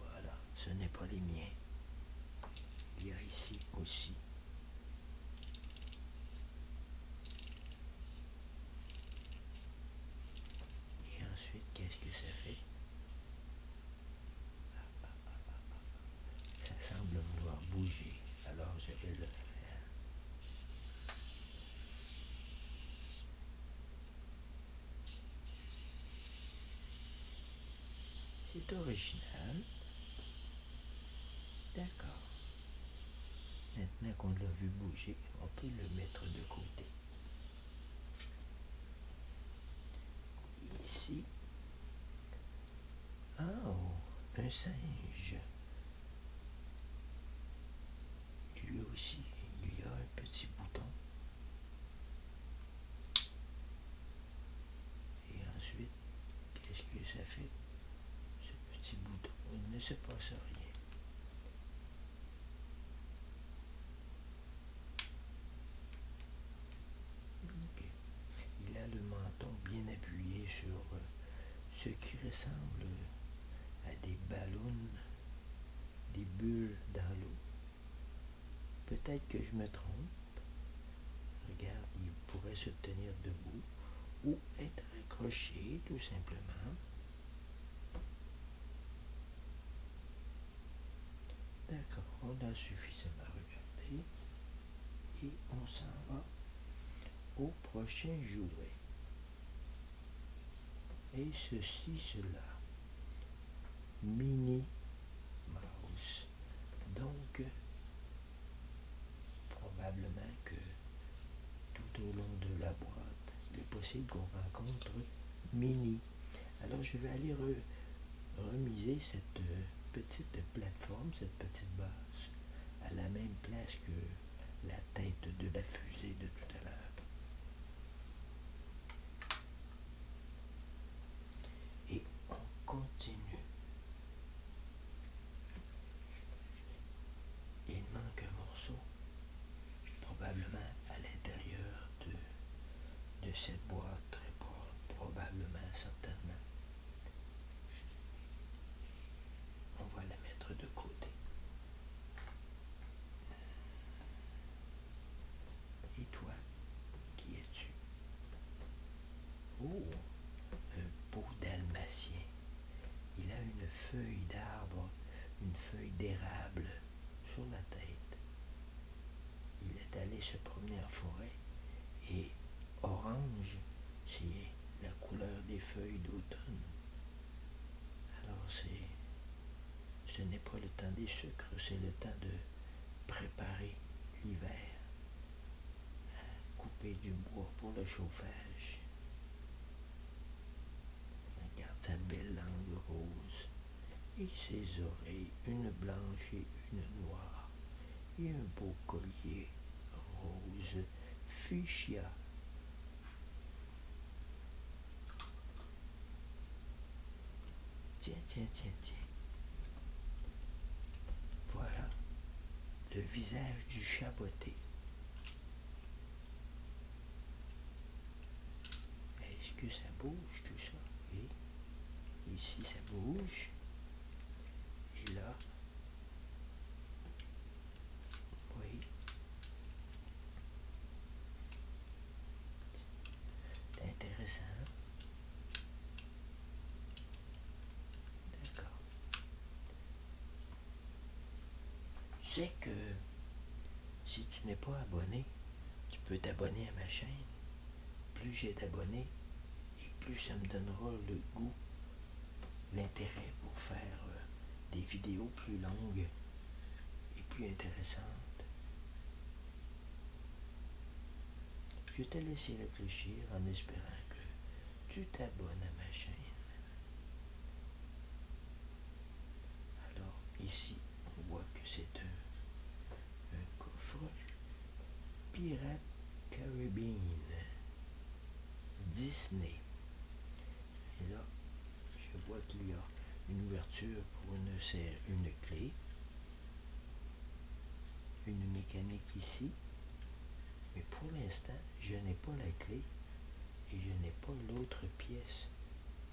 Voilà, ce n'est pas les miens. Il y a ici aussi Et ensuite, qu'est-ce que ça fait ça semble vouloir bouger, alors je vais le faire. C'est original. D'accord. Maintenant qu'on l'a vu bouger, on peut le mettre de côté. Ici. Oh, un singe. Lui aussi, il y a un petit bouton. Et ensuite, qu'est-ce que ça fait Ce petit bouton, il ne se passe rien. Il a le menton bien appuyé sur euh, ce qui ressemble à des ballons, des bulles dans l'eau. Peut-être que je me trompe. Regarde, il pourrait se tenir debout ou être accroché tout simplement. D'accord, on a suffisamment regardé. Et on s'en va au prochain jouet. Et ceci, cela. Mini Mouse. Donc, probablement que tout au long de la boîte, il est possible qu'on rencontre Mini alors je vais aller remiser cette euh, petite plateforme, cette petite base, à la même place que la tête de la fusée de tout à l'heure. Et on continue. Il manque un morceau, probablement à l'intérieur de de cette boîte, très probablement, certainement. On va la mettre de côté. Et toi, qui es-tu Oh, un beau dalmatien. Il a une feuille d'arbre, une feuille d'érable sur la tête. Il est allé se promener en forêt et orange, c'est la couleur des feuilles d'automne. Alors c'est, ce n'est pas le temps des sucres, c'est le temps de préparer l'hiver, couper du bois pour le chauffage. Regarde sa belle langue rose et ses oreilles, une blanche et une noire, et un beau collier rose fuchsia. Tiens, tiens, tiens, tiens. Voilà le visage du chaboté. Est-ce que ça bouge tout ça? Oui. Ici, ça bouge. Et là, oui. C'est intéressant. D'accord. Tu sais que si tu n'es pas abonné, tu peux t'abonner à ma chaîne plus j'ai d'abonnés et plus ça me donnera le goût, l'intérêt pour faire euh, des vidéos plus longues et plus intéressantes. Je te laisser réfléchir en espérant que tu t'abonnes à ma chaîne. Alors ici, on voit que c'est un, coffre Pirate Caribbean Disney. Et là, je vois qu'il y a une ouverture pour une, une clé, une mécanique ici. Mais pour l'instant, je n'ai pas la clé et je n'ai pas l'autre pièce.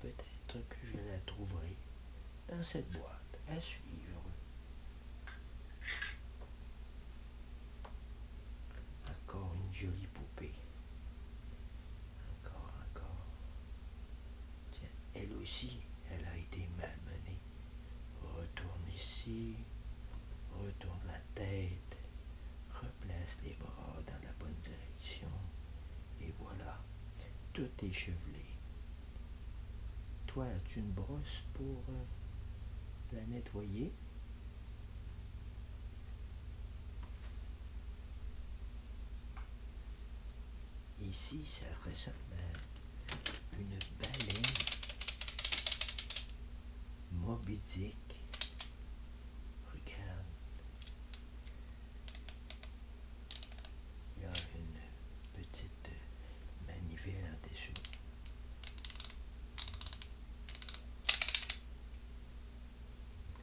Peut-être que je la trouverai dans cette boîte à suivre. Encore une jolie poupée. Encore, encore. elle aussi, elle a été malmenée. Retourne ici, retourne la tête, replace les bras dans la bonne direction. Et voilà, tout échevelé, toi, as-tu une brosse pour euh, la nettoyer? Ici, ça ressemble à une baleine mobidique. Regarde. Il y a une petite manivelle des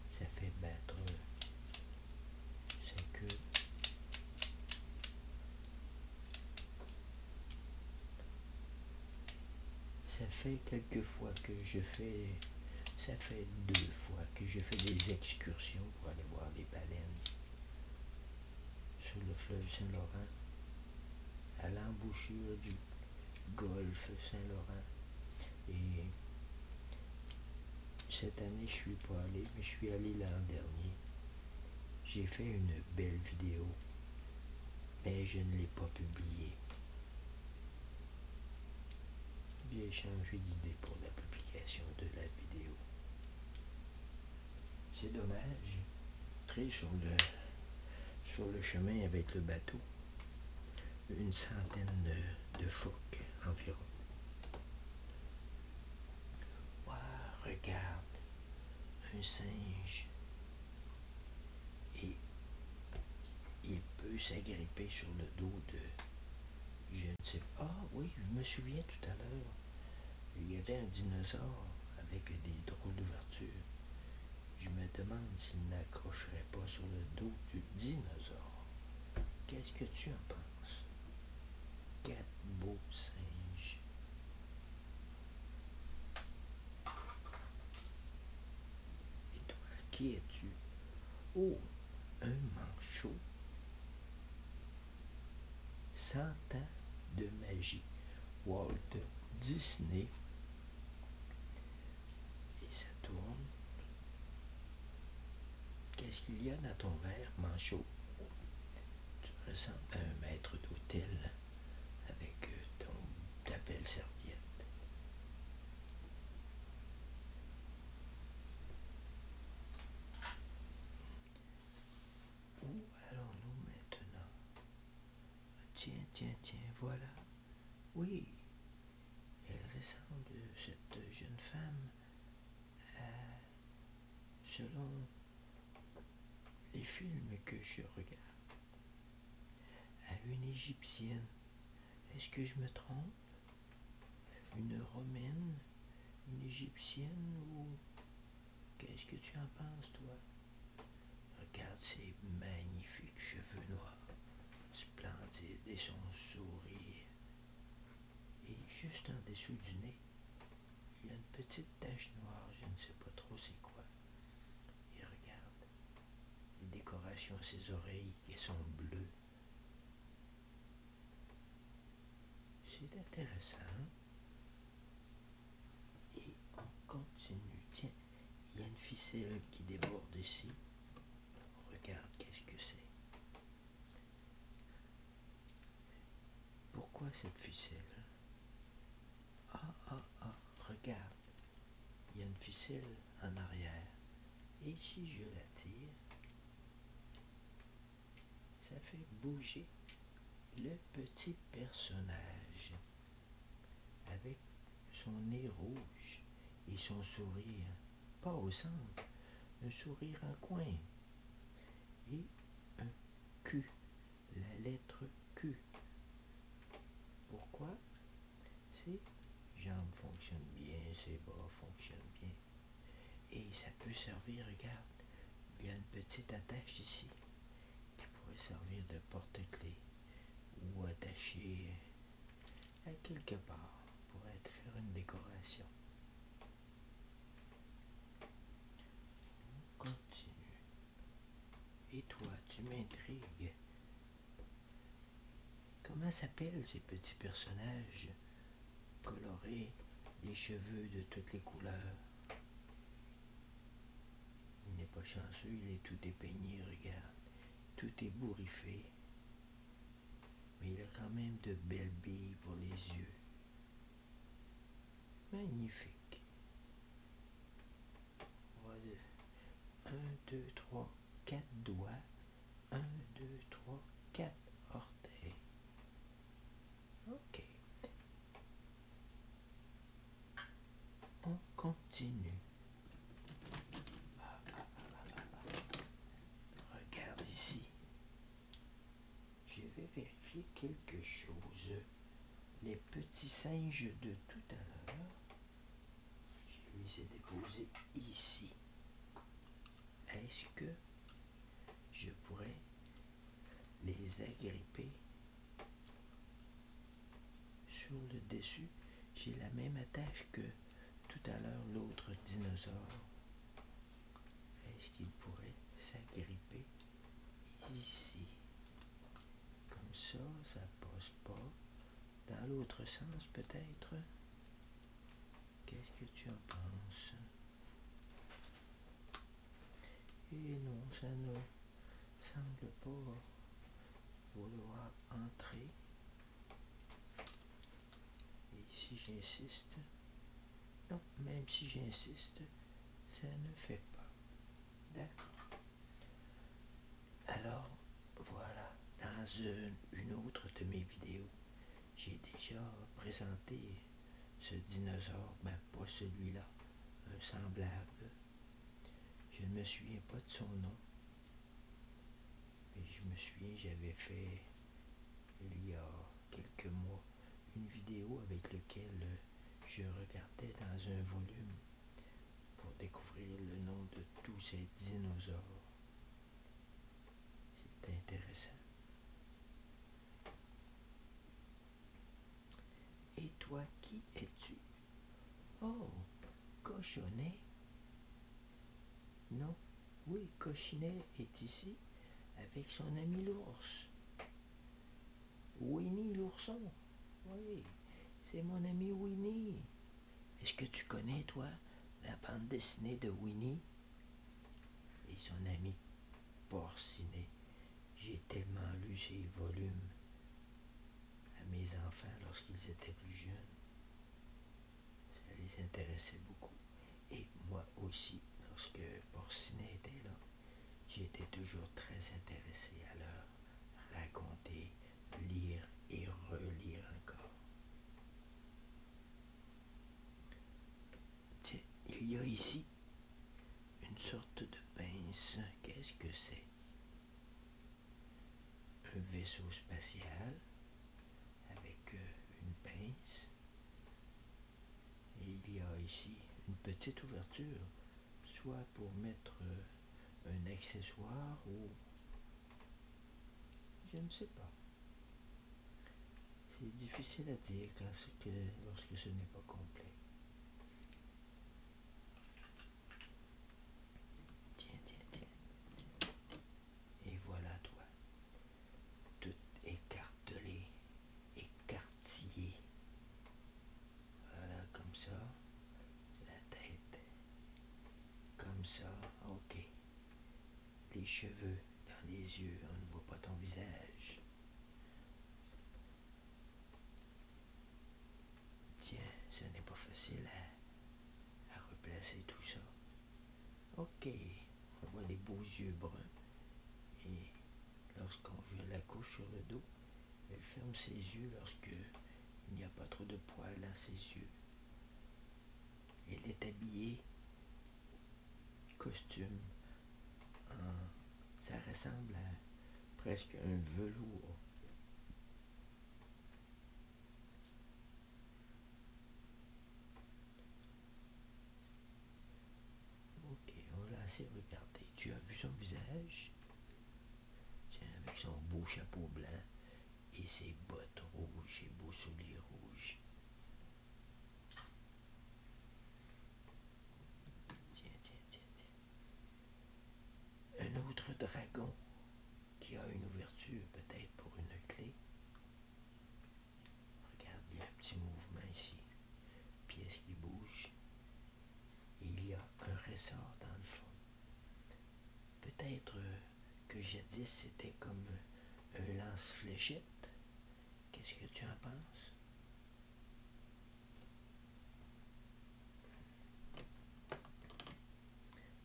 Ça fait battre sa que Ça fait quelques fois que je fais, ça fait deux fois que je fais des excursions pour aller voir les baleines sur le fleuve Saint-Laurent, à l'embouchure du golfe Saint-Laurent. Et cette année, je suis pas allé, mais je suis allé l'an dernier. J'ai fait une belle vidéo, mais je ne l'ai pas publiée. J'ai changé d'idée pour la publication de la vidéo. C'est dommage. Très sur le, sur le chemin avec le bateau, une centaine de, phoques environ. Waouh, regarde, un singe. Et il peut s'agripper sur le dos de... Je ne sais pas. Ah oui, je me souviens tout à l'heure il y avait un dinosaure avec des trous d'ouverture. Je me demande s'il n'accrocherait pas sur le dos du dinosaure. Qu'est-ce que tu en penses? Quatre beaux singes. Et toi, qui es-tu? Oh, un manchot. 100 ans de magie. Walt Disney. Et ça tourne. Qu'est-ce qu'il y a dans ton verre, Manchot Tu ressembles à un maître d'hôtel avec euh, ton, ta belle serviette. Où allons-nous maintenant ah, Tiens, tiens, tiens, voilà. Oui, elle ressemble, cette jeune femme, selon les films que je regarde, à une égyptienne. Est-ce que je me trompe Une romaine Une égyptienne ou Qu'est-ce que tu en penses, toi? Regarde ses magnifiques cheveux noirs, splendides, et son sourire. Et juste en dessous du nez, il y a une petite tache noire, je ne sais pas trop c'est quoi. Et regarde, les décorations à ses oreilles qui sont bleues. C'est intéressant. Et on continue. Tiens, il y a une ficelle qui déborde ici. Regarde, qu'est-ce que c'est Pourquoi cette ficelle Ah, ah, ah, regarde. Il y a une ficelle en arrière. Et si je la tire, ça fait bouger le petit personnage avec son nez rouge et son sourire, pas au centre, un sourire en coin et un Q, la lettre Q. Pourquoi Ses jambes fonctionnent bien, ses bras fonctionnent bien, et ça peut servir, regarde, il y a une petite attache ici qui pourrait servir de porte-clés ou attacher euh, à quelque part pour être, faire une décoration. On continue. Et toi, tu m'intrigues. Comment s'appellent ces petits personnages coloré, les cheveux de toutes les couleurs. Il n'est pas chanceux, il est tout dépeigné, regarde. Tout est bourriffé. Mais il a quand même de belles billes pour les yeux. Magnifique. Voilà. 1, 2, 3, 4 doigts. 1, 2, 3, 4 orteils. Ok. On continue. Regarde ici. Je vais vérifier quelque chose. Les petits singes de tout à l'heure, je les ai déposés ici. Est-ce que je pourrais les agripper sur le dessus? J'ai la même attache que tout à l'heure l'autre dinosaure. Est-ce qu'il pourrait s'agripper ici? Comme ça, ça passe pas. Dans l'autre sens peut-être? Qu'est-ce que tu en penses? Et non, ça ne semble pas vouloir entrer. Et si j'insiste, non, même si j'insiste, ça ne fait pas. D'accord. Alors, voilà, dans une, une autre de mes vidéos, j'ai déjà présenté ce dinosaure, mais ben, pas celui-là, un semblable. Je ne me souviens pas de son nom. Mais je me souviens, j'avais fait, il y a quelques mois, une vidéo avec laquelle je regardais dans un volume pour découvrir le nom de tous ces dinosaures. C'était intéressant. Et toi, qui es-tu Oh, cochonnet Non, oui, cochonnet est ici avec son ami l'ours. Winnie l'ourson. Oui, c'est mon ami Winnie. Est-ce que tu connais, toi, la bande dessinée de Winnie et son ami Porcinet. J'ai tellement lu ses volumes à mes enfants lorsqu'ils étaient plus jeunes. Ça les intéressait beaucoup. Et moi aussi, lorsque Porcinet était là, j'étais toujours très intéressé à leur raconter, lire et relire encore. il y a ici une sorte de pince, qu'est-ce que c'est Un vaisseau spatial avec euh, une pince. Et il y a ici une petite ouverture, soit pour mettre euh, un accessoire ou... Je ne sais pas. C'est difficile à dire que, lorsque ce n'est pas complet. Tiens, tiens, tiens. Et voilà toi. Tout écartelé, écartillé. Voilà, comme ça. La tête. Comme ça, ok. Les cheveux dans les yeux, on ne voit pas ton visage. Tiens, ce n'est pas facile hein, à, replacer tout ça. Ok, on voit les beaux yeux bruns. Et lorsqu'on veut la couche sur le dos, elle ferme ses yeux lorsque il n'y a pas trop de poils à ses yeux. Elle est habillée costume. Hein, ça ressemble à presque un velours. Ok, on l'a assez regardé. Tu as vu son visage Tiens, avec son beau chapeau blanc et ses bottes rouges, ses beaux souliers rouges. Tiens, tiens, tiens, tiens. Un autre dragon qui a une ouverture peut-être pour une clé. Regarde, il y a un petit mouvement ici. Pièce qui bouge. il y a un ressort dans le fond. Peut-être euh, que jadis c'était comme un lance-fléchette. Qu'est-ce que tu en penses?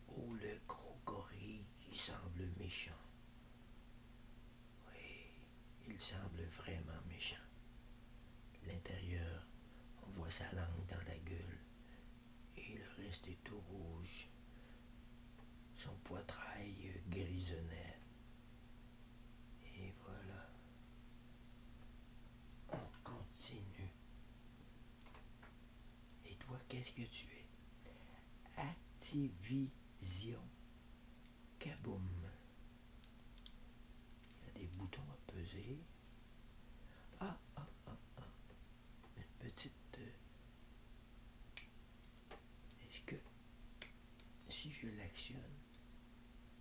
Oh, le gros il semble méchant. Oui, il semble vraiment méchant. L'intérieur, on voit sa langue dans la gueule et il reste tout rouge. Son poitrail grisonnait. Et voilà. On continue. Et toi, qu'est-ce que tu es Activision. Kaboum. Il y a des boutons à peser. Ah, ah, ah, ah. Une petite... Euh, est-ce que si je l'actionne,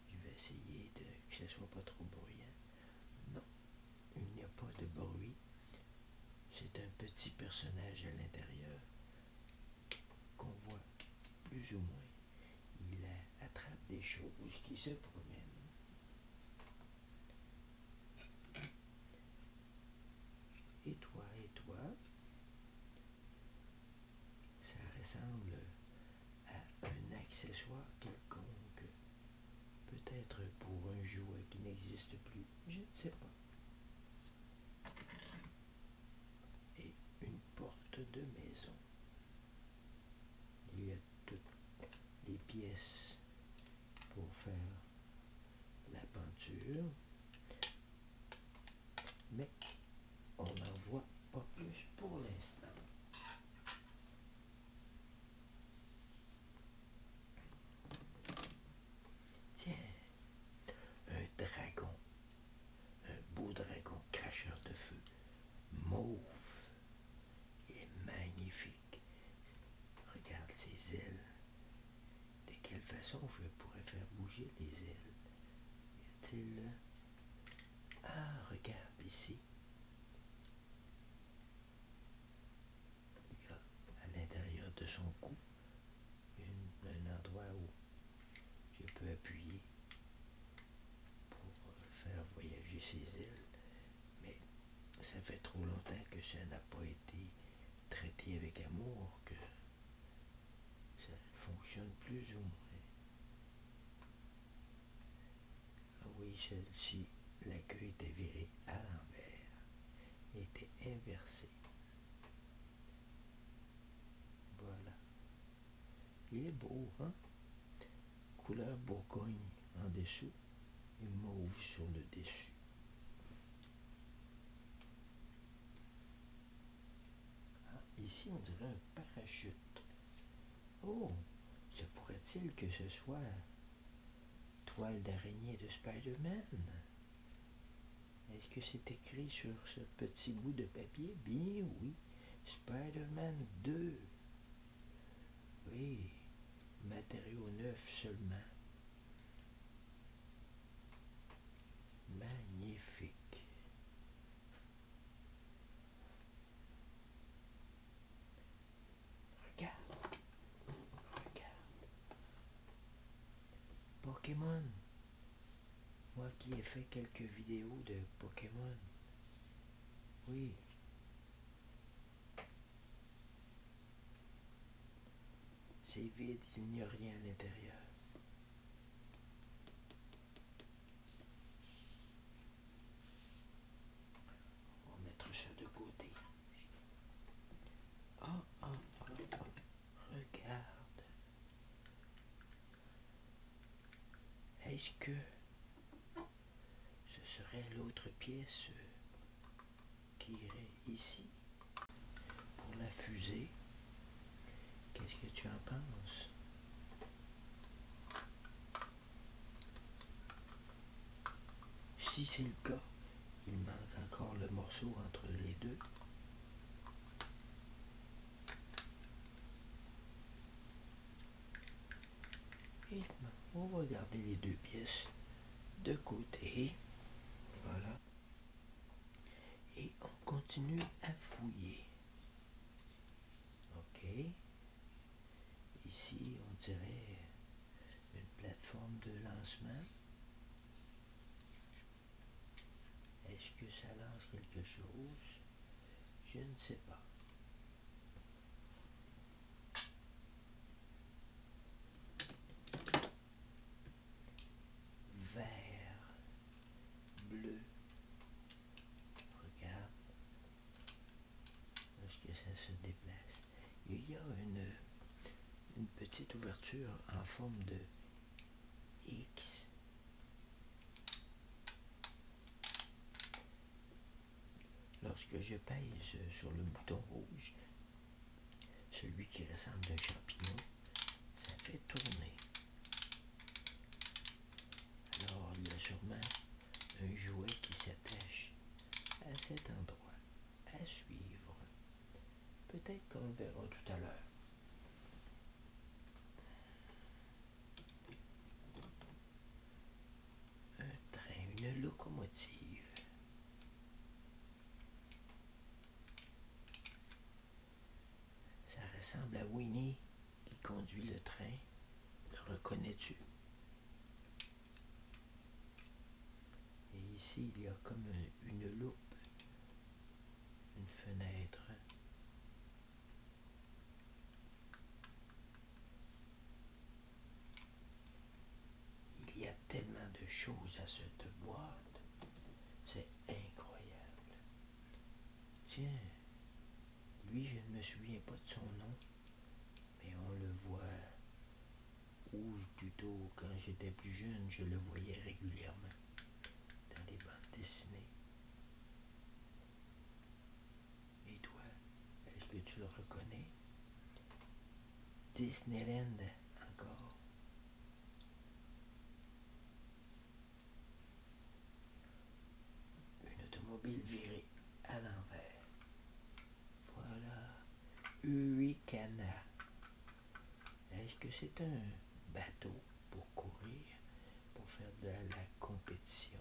je vais essayer de, que ce soit pas trop bruyant. Non, il n'y a pas de bruit. C'est un petit personnage à l'intérieur qu'on voit plus ou moins. Il attrape des choses qui se promènent. Et toi, et toi, ça ressemble à un accessoire quelconque. Peut-être pour un jouet qui n'existe plus. Je ne sais pas. Et une porte de maison. Il y a toutes les pièces pour faire la peinture mais on n'en voit pas plus pour l'instant. Tiens, un dragon, un beau dragon cracheur de feu, mauve. Il est magnifique. Regarde ses ailes. De quelle façon je pourrais faire bouger les ailes Y a-t-il ah, regarde ici. Il y a à l'intérieur de son cou un endroit où je peux appuyer pour euh, faire voyager ses îles. Mais ça fait trop longtemps que ça n'a pas été traité avec amour que ça fonctionne plus ou moins. Ah oui, celle-ci, la queue était virée à l'envers. était inversé. Voilà. Il est beau, hein? Couleur bourgogne en dessous et mauve sur le dessus. Ah, ici, on dirait un parachute. Oh, se pourrait-il que ce soit toile d'araignée de Spider-Man? Est-ce que c'est écrit sur ce petit bout de papier? Bien oui. Spider-Man 2. Oui, Matériau neuf seulement. Magnifique. Regarde. Regarde. Pokémon. Moi qui ai fait quelques vidéos de Pokémon. Oui. C'est vide, il n'y a rien à l'intérieur. On va mettre ça de côté. Oh oh, oh, oh, regarde. Est-ce que ce serait l'autre pièce qui irait ici pour la fusée Qu'est-ce que tu en penses Si c'est le cas, il manque encore le morceau entre les deux. Et on va garder les deux pièces de côté. Voilà. Et on continue à fouiller. Ok. Ici, on dirait une plateforme de lancement. Est-ce que ça lance quelque chose Je ne sais pas. vert, bleu, Regarde. Lorsque ça se déplace. Il y a une, une petite ouverture en forme de X. Lorsque je pèse sur le bouton rouge, celui qui ressemble à un champignon, ça fait tourner. Alors il y a sûrement un jouet qui s'attache à cet endroit à suivre. Peut-être qu'on le verra tout à l'heure. Un train, une locomotive. Ça ressemble à Winnie qui conduit le train. Le reconnais-tu? Et ici, il y a comme une loupe, une fenêtre. Il y a tellement de choses à cette boîte. C'est incroyable. Tiens, lui, je ne me souviens pas de son nom, mais on le voit. Ou plutôt, quand j'étais plus jeune, je le voyais régulièrement dans les bandes dessinées. Et toi, est-ce que tu le reconnais Disneyland, encore. Une automobile virée à l'envers. Voilà. canards. Est-ce que c'est un bateau pour courir, pour faire de la compétition?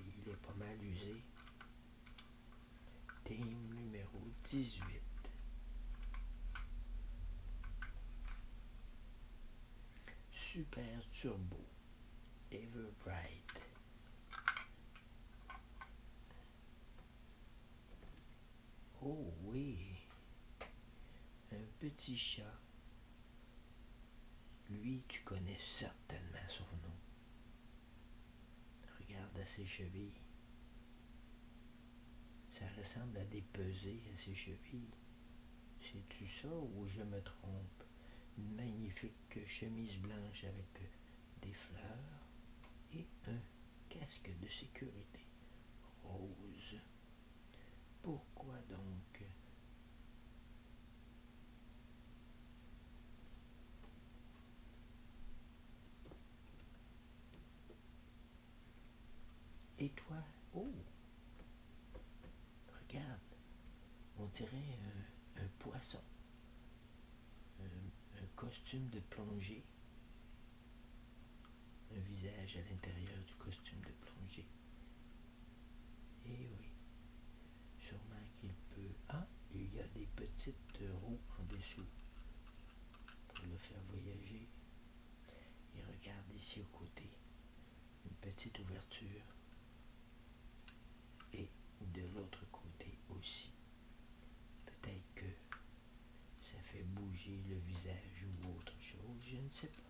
Il est pas mal usé. Team numéro 18. Super Turbo Everbright. Oh oui, un petit chat. Lui, tu connais certainement son nom. Regarde à ses chevilles. Ça ressemble à des pesées à ses chevilles. C'est-tu ça ou je me trompe? Une magnifique chemise blanche avec des fleurs et un casque de sécurité rose. Pourquoi donc et toi, oh, regarde, on dirait euh, un, poisson, euh, un, costume de plongée, un visage à l'intérieur du costume de plongée. Et eh oui, sûrement qu'il peut. Ah, il y a des petites roues en dessous pour le faire voyager et regarde ici au côté, une petite ouverture. Et de l'autre côté aussi. Peut-être que ça fait bouger le visage ou autre chose, je ne sais pas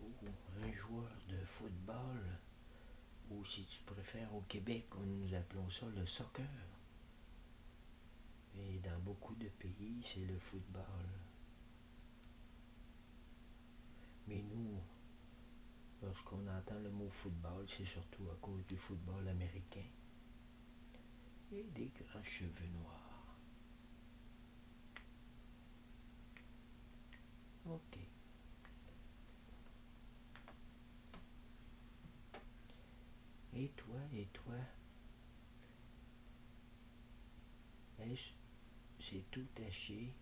ou un joueur de football, ou si tu préfères au Québec, on nous appelons ça le soccer. Et dans beaucoup de pays, c'est le football. Mais nous, lorsqu'on entend le mot football, c'est surtout à cause du football américain et des grands cheveux noirs. Ok. Et toi, et toi Est-ce c'est tout taché.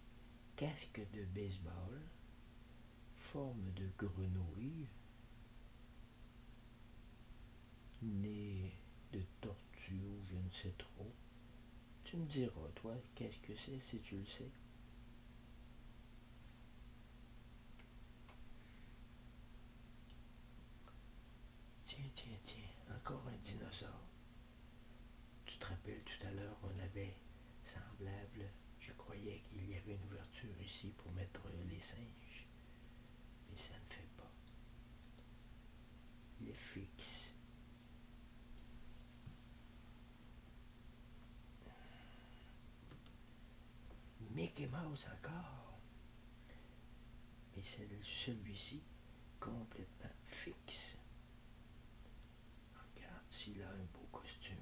Casque de baseball. Forme de grenouille. Nez de tortue je ne sais trop. Tu me diras, toi, qu'est-ce que c'est si tu le sais Tiens, tiens, tiens, encore un dinosaure. Tu te rappelles tout à l'heure, on avait semblable. Je croyais qu'il y avait une ouverture ici pour mettre les singes. Mais ça ne fait pas. Il est fixe. Mickey Mouse encore. Mais c'est celui-ci complètement fixe. Regarde s'il a un beau costume.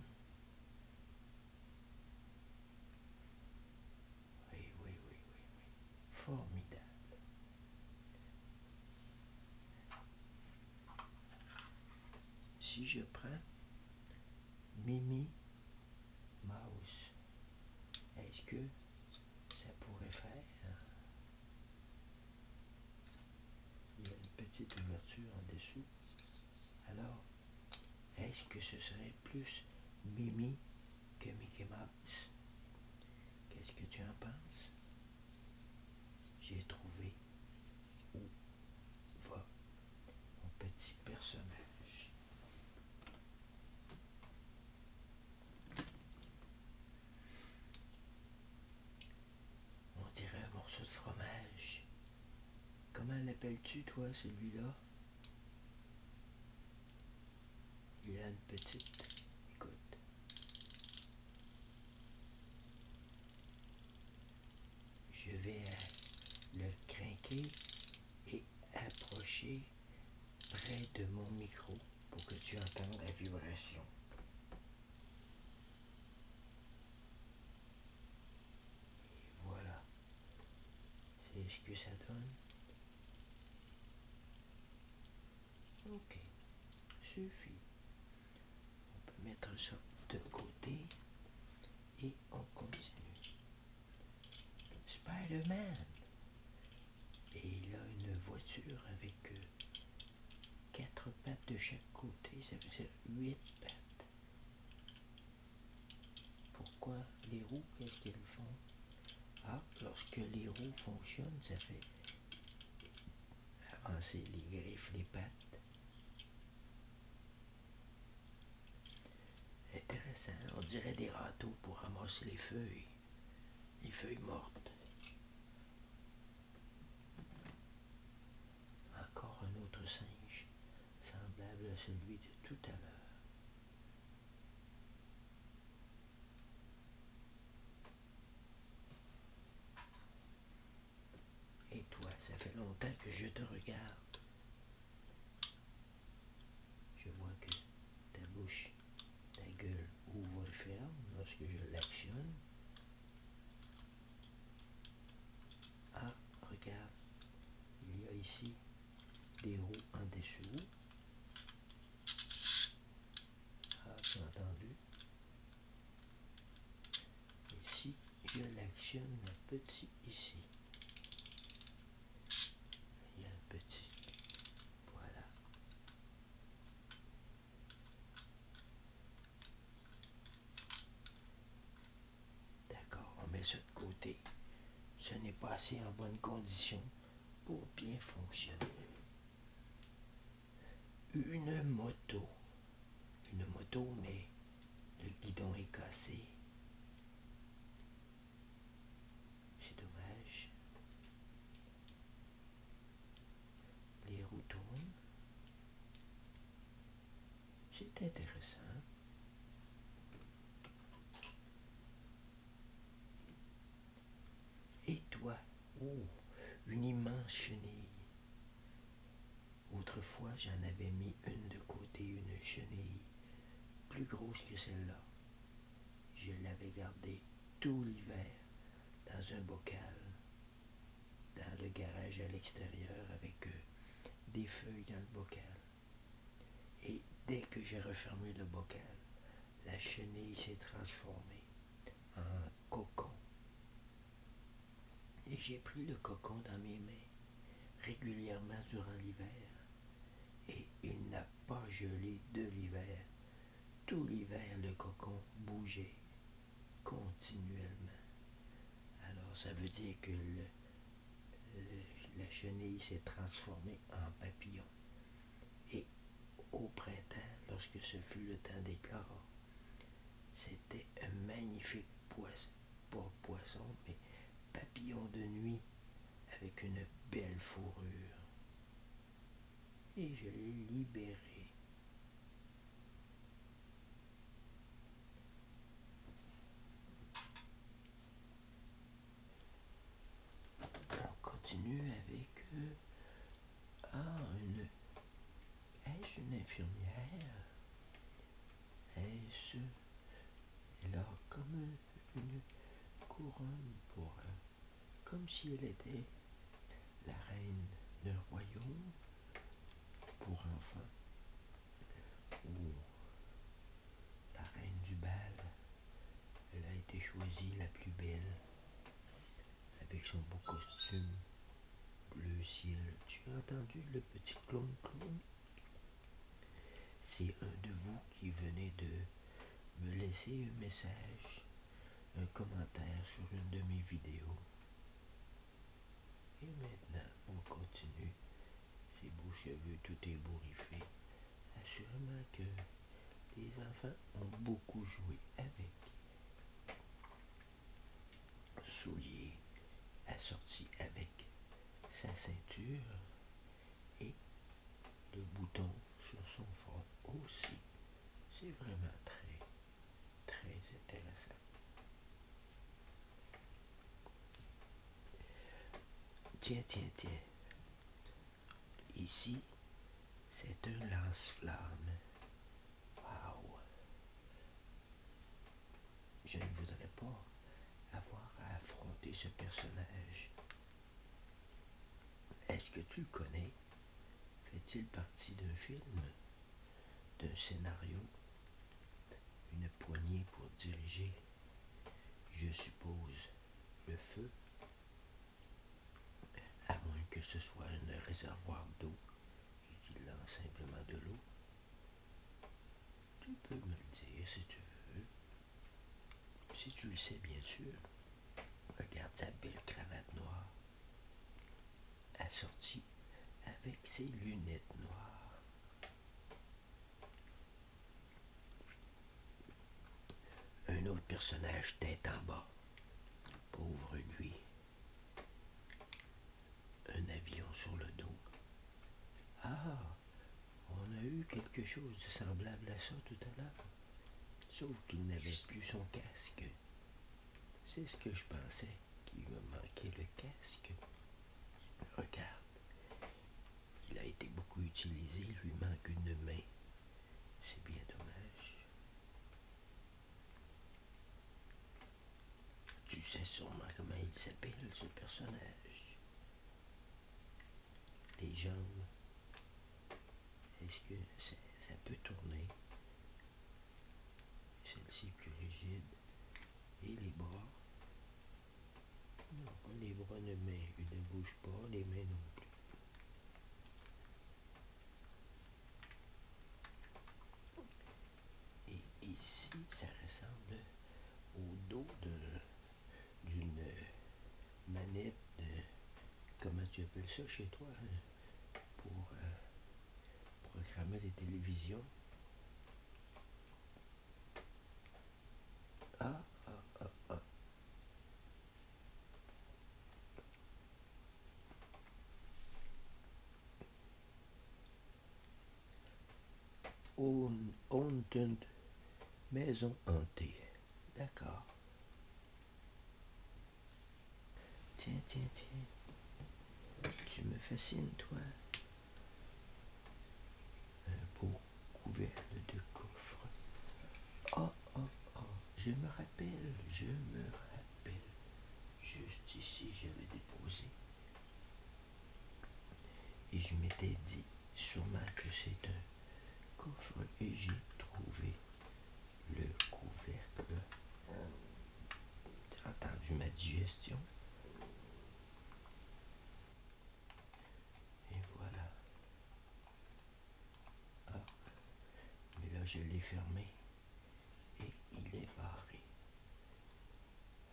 Oui, oui, oui, oui, oui. Formidable si je prends Mimi Mouse, est-ce que ça pourrait faire Il y a une petite ouverture en dessous. Alors, est-ce que ce serait plus Mimi que Mickey Mouse Qu'est-ce que tu en penses j'ai trouvé où va mon petit personnage. On dirait un morceau de fromage. Comment l'appelles-tu, toi, celui-là Il a une petite, écoute, je vais euh, le craquer et approcher près de mon micro pour que tu entendes la vibration. voilà. C'est ce que ça donne. Ok, suffit. On peut mettre ça de côté et on continue. Spider-Man. Et il a une voiture avec euh, quatre pattes de chaque côté, ça veut dire huit pattes. Pourquoi les roues, qu'est-ce qu'elles font Ah, lorsque les roues fonctionnent, ça fait avancer ah, les griffes, les pattes. Intéressant, on dirait des râteaux pour ramasser les feuilles, les feuilles mortes. Encore un autre singe, semblable à celui de tout à l'heure. Et toi, ça fait longtemps que je te regarde. Je vois que ta bouche, ta gueule ouvre et ferme lorsque je l'actionne. Ah, regarde, il y a ici des roues en dessous. Ah, tu entendu Ici, je l'actionne le petit ici. Il y a un petit. Voilà. D'accord, on met ça de côté. Ce n'est pas assez en bonne condition pour bien fonctionner une moto. Une moto, mais le guidon est cassé. C'est dommage. Les roues tournent. C'est intéressant. Et toi Oh, une immense chenille. Autrefois, j'en avais mis une de côté, une chenille, plus grosse que celle-là. Je l'avais gardée tout l'hiver dans un bocal, dans le garage à l'extérieur avec euh, des feuilles dans le bocal. Et dès que j'ai refermé le bocal, la chenille s'est transformée un cocon. Et j'ai pris le cocon dans mes mains régulièrement durant l'hiver. Et il n'a pas gelé de l'hiver. Tout l'hiver, le cocon bougeait continuellement. Alors ça veut dire que la chenille s'est transformée en papillon. Et au printemps, lorsque ce fut le temps des c'était un magnifique poisson, pas poisson, mais papillon de nuit avec une belle fourrure. Et je l'ai libéré. On continue avec euh, ah, une. Est-ce une infirmière Est-ce. alors comme une couronne pour. Comme si elle était la reine d'un royaume pour enfants. Ou la reine du bal. Elle a été choisie la plus belle avec son beau costume bleu ciel. Tu as entendu le petit clown clown C'est un de vous qui venait de me laisser un message, un commentaire sur une de mes vidéos. Et maintenant, on continue. Ses beaux cheveux tout ébouriffés. Assurément que les enfants ont beaucoup joué avec souliers assorti avec sa ceinture et le bouton sur son front aussi. C'est vraiment très, très intéressant. Tiens, tiens, tiens. Ici, c'est un lance-flamme je ne voudrais pas avoir à affronter ce personnage. Est-ce que tu le connais Fait-il partie d'un film D'un scénario Une poignée pour diriger Je suppose le feu à moins que ce soit un réservoir d'eau il a simplement de l'eau. Tu peux me le dire si tu veux. Si tu le sais, bien sûr. Regarde sa belle cravate noire, assortie avec ses lunettes noires. Un autre personnage tête en bas. Pauvre lui un avion sur le dos. Ah, on a eu quelque chose de semblable à ça tout à l'heure, sauf qu'il n'avait plus son casque. C'est ce que je pensais, qu'il me manquait le casque. Regarde, il a été beaucoup utilisé, il lui manque une main. C'est bien dommage. Tu sais sûrement comment il s'appelle, ce personnage. Les jambes. Est-ce que ça, peut tourner? Celle-ci est plus rigide. Et les bras. Non, les bras ne, ne bougent pas, les mains non plus. Et ici, ça ressemble au dos d'une manette de, comment tu appelles ça chez toi, hein, pour euh, programmer les télévisions. ah, ah, ah. ah maison hantée. D'accord. Tiens, tiens, tiens. Tu me fascines, toi. Un beau couvert de coffre. Oh, oh, oh. Je me rappelle, je me rappelle. Juste ici, j'avais déposé. Et je m'étais dit sûrement que c'est un coffre et j'ai trouvé le couvercle. T'as entendu ma digestion? Et voilà. Ah, mais là, je l'ai fermé et il est barré.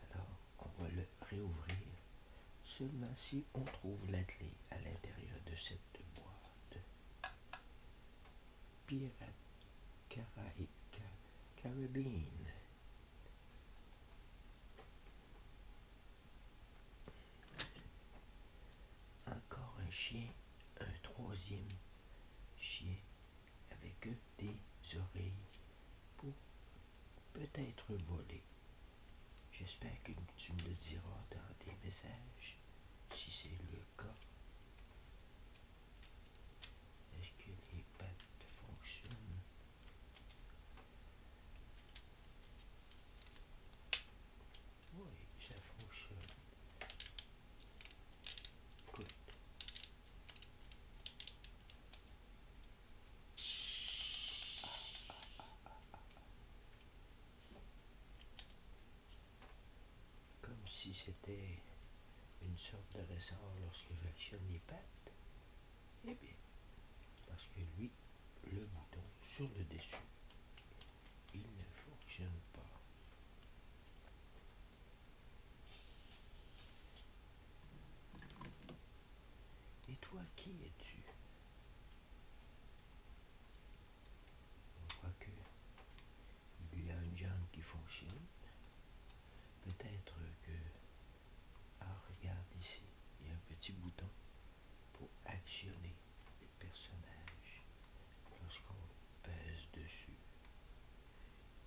Alors, on va le réouvrir seulement si on trouve l'atelier à l'intérieur de cette boîte. Pirate Caraïque Carabine. Encore un chien, un troisième chien avec des oreilles pour peut-être voler. J'espère que tu me le diras dans des messages si c'est le cas. Est-ce que les pattes fonctionnent Oui, ça fonctionne. Comme si c'était une sorte de ressort lorsque j'actionne les pattes. Eh bien, parce que lui, le bouton sur le dessus, il ne fonctionne pas. Et toi, qui es-tu On voit que il y a un jambe qui fonctionne. Peut-être que. Ah, regarde ici, il y a un petit bouton pour actionner le personnage lorsqu'on pèse dessus.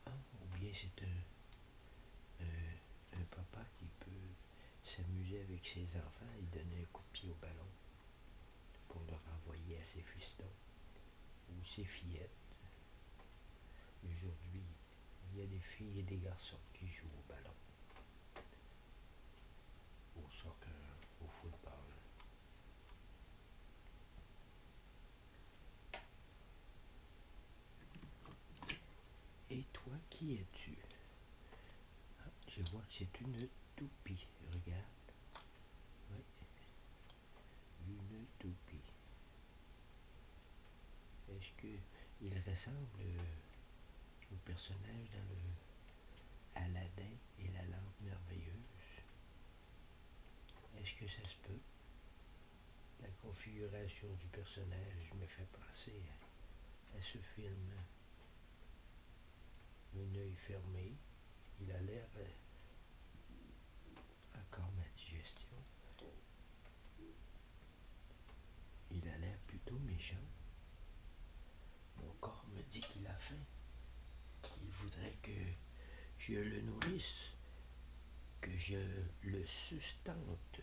Ah, ou bien c'est euh, un, papa qui peut s'amuser avec ses enfants et donner un coup de pied au ballon pour le renvoyer à ses fistons ou ses fillettes. Aujourd'hui, il y a des filles et des garçons qui jouent au ballon, au soccer, au football. Et toi, qui es-tu ah, Je vois que c'est une toupie, regarde. Une toupie. Est-ce qu'il ressemble euh, au personnage dans le Aladdin et la lampe merveilleuse est-ce que ça se peut? La configuration du personnage me fait passer à, ce film. Un oeil fermé, il a l'air euh, encore ma digestion. Il a l'air plutôt méchant. Mon corps me dit qu'il a faim. Il voudrait que je le nourrisse, que je le sustente.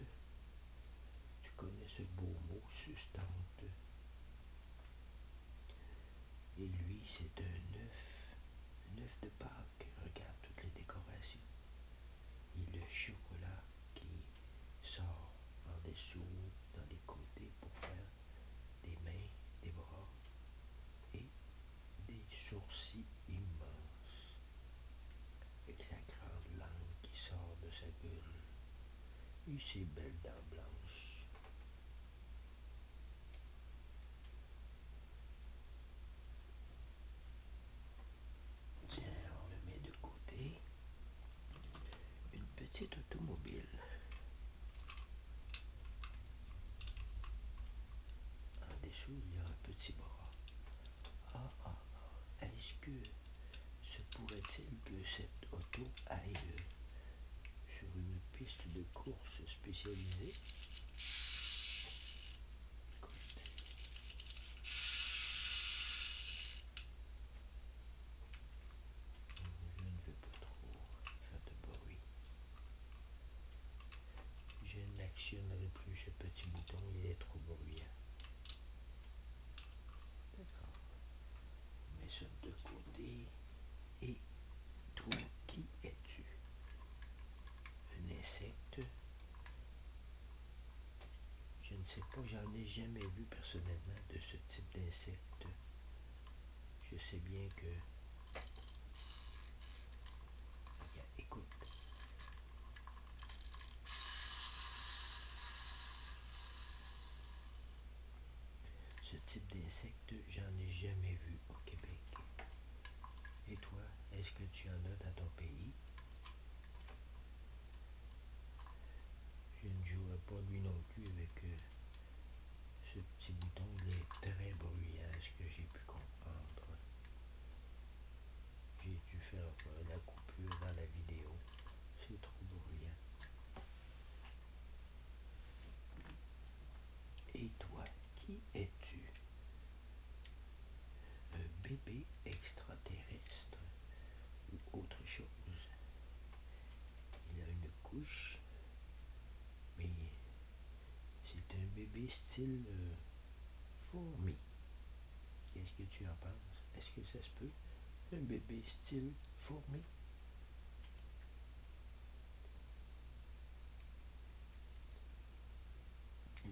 Tu connais ce beau mot, sustente. Et lui, c'est un œuf, un œuf de Pâques. Regarde toutes les décorations. Et le chocolat qui sort en dessous, dans les côtés pour faire des mains, des bras des sourcils immenses, avec sa grande langue qui sort de sa gueule, et ses belles dents blanches. Tiens, on le met de côté. Une petite automobile des dessous, il y a un petit bras. Ah, ah ah est-ce que ce pourrait-il que cette auto aille euh, sur une piste de course spécialisée Je ne veux pas trop faire de bruit. Je n'actionnerai plus ce petit bouton, il est trop bruyant. D'accord. Mais ça de côté. Et toi, qui es-tu Un insecte Je ne sais pas, j'en ai jamais vu personnellement de ce type d'insecte. Je sais bien que Écoute. Ce type d'insecte, j'en ai jamais vu au Québec. Et toi, est-ce que tu en as dans ton pays? Je ne jouerai pas lui non plus avec euh, ce petit bouton. Il est très bruyant, ce que j'ai pu comprendre. J'ai dû faire la coupure dans la vidéo. C'est trop rien Et toi, qui es-tu Un bébé extraterrestre ou autre chose Il a une couche, mais c'est un bébé style euh, fourmi. Qu'est-ce que tu en penses? Est-ce que ça se peut? Un bébé style fourmi?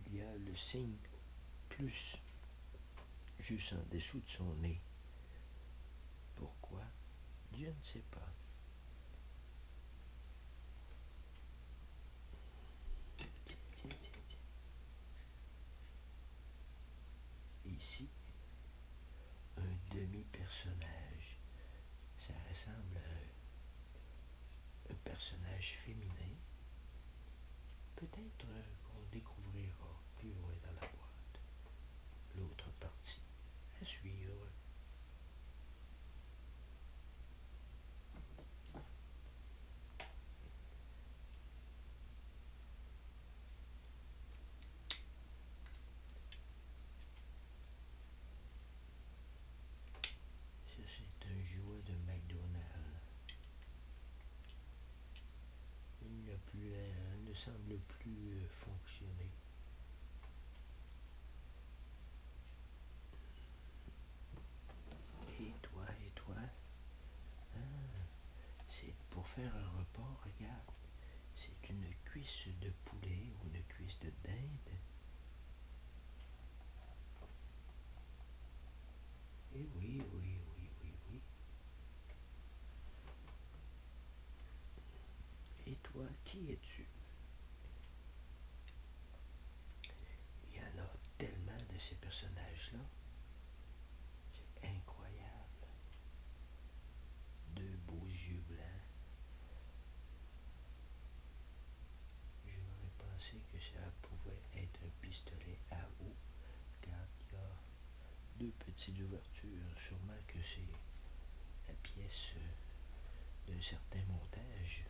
Il y a le signe plus juste en dessous de son nez. Pourquoi? Je ne sais pas. Ici, un demi-personnage. Ça ressemble à un, personnage féminin. Peut-être euh, qu'on découvrira plus loin dans la boîte. L'autre partie à suivre c'est un jouet de McDonald's. Il ne, euh, ne semble plus euh, fonctionner. Et toi, et toi. Ah, c'est pour faire un repas, regarde. C'est une cuisse de poulet ou une cuisse de dinde. Et eh oui, oui, oui, oui, oui. Et toi, qui es-tu il y en a tellement de ces personnages-là. C'est incroyable. Deux beaux yeux blancs. J'aurais pensé que ça pouvait être un pistolet à eau, car il y a deux petites ouvertures. Sûrement que c'est la pièce euh, d'un certain montage.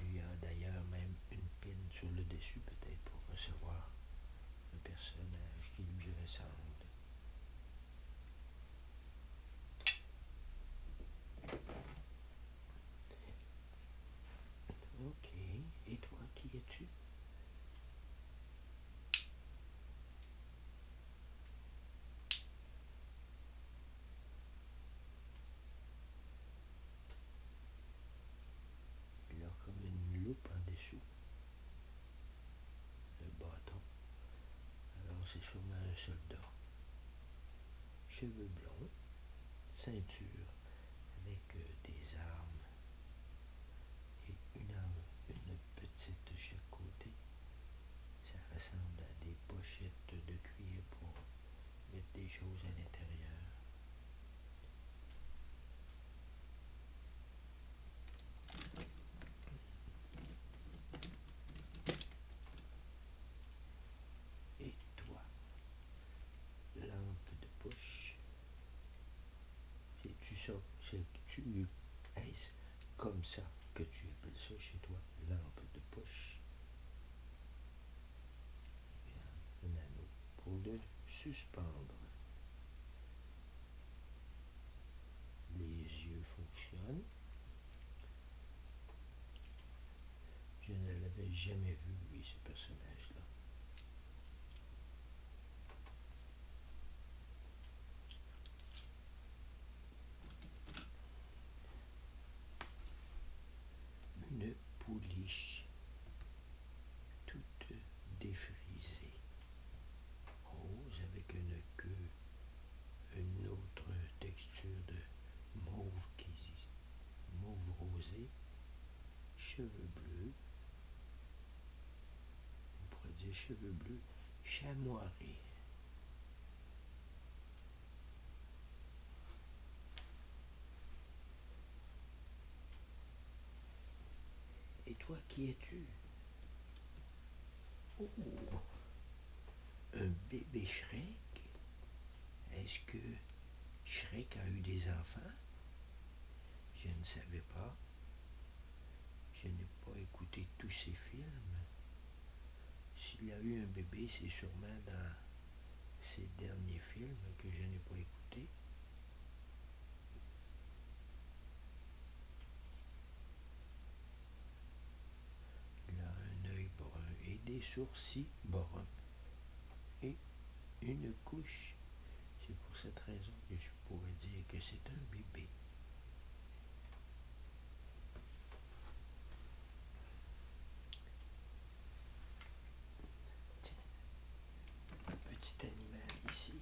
Il y a d'ailleurs même une pin sur le dessus peut-être pour recevoir le personnage qui lui ressemble. Ok, et toi, qui es-tu il a comme une loupe en dessous. Le bâton. Alors c'est sûrement un soldat. Cheveux blonds. Ceinture avec euh, des armes. Et une arme, une petite de chaque côté. Ça ressemble à des pochettes de cuir pour mettre des choses à l'intérieur. Et toi, lampe de poche, Et tu sors, c'est-tu, es comme ça que tu appelles ça chez toi, lampe de poche pour le suspendre. Les yeux fonctionnent. Je ne l'avais jamais vu, oui, ce personnage-là une pouliche toute défrisée, rose avec une queue, une autre texture de mauve qui mauve rosé, cheveux bleus, on pourrait dire cheveux bleus chamoirés. Et toi, qui es-tu Oh Un bébé Shrek Est-ce que Shrek a eu des enfants Je ne savais pas. Je n'ai pas écouté tous ses films. S'il y a eu un bébé, c'est sûrement dans le dernier film que je n'ai pas écouté, Il a un œil brun et des sourcils bruns et une couche. C'est pour cette raison que je pourrais dire que c'est un bébé un Petit animal ici.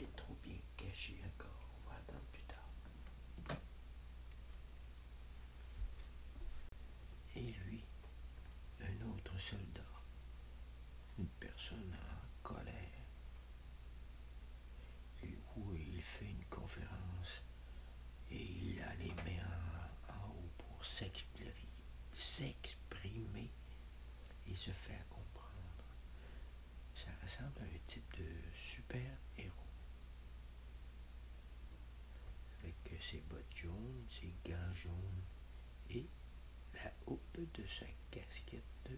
il est trop bien caché encore. On va attendre plus tard. Et lui, un autre soldat. Une personne en colère. Et où il fait une conférence et il a les mains en haut pour s'exprimer et se faire comprendre. Ça ressemble à un type de super-héros. Avec euh, ses bottes jaunes, ses gants jaunes et la houppe de sa casquette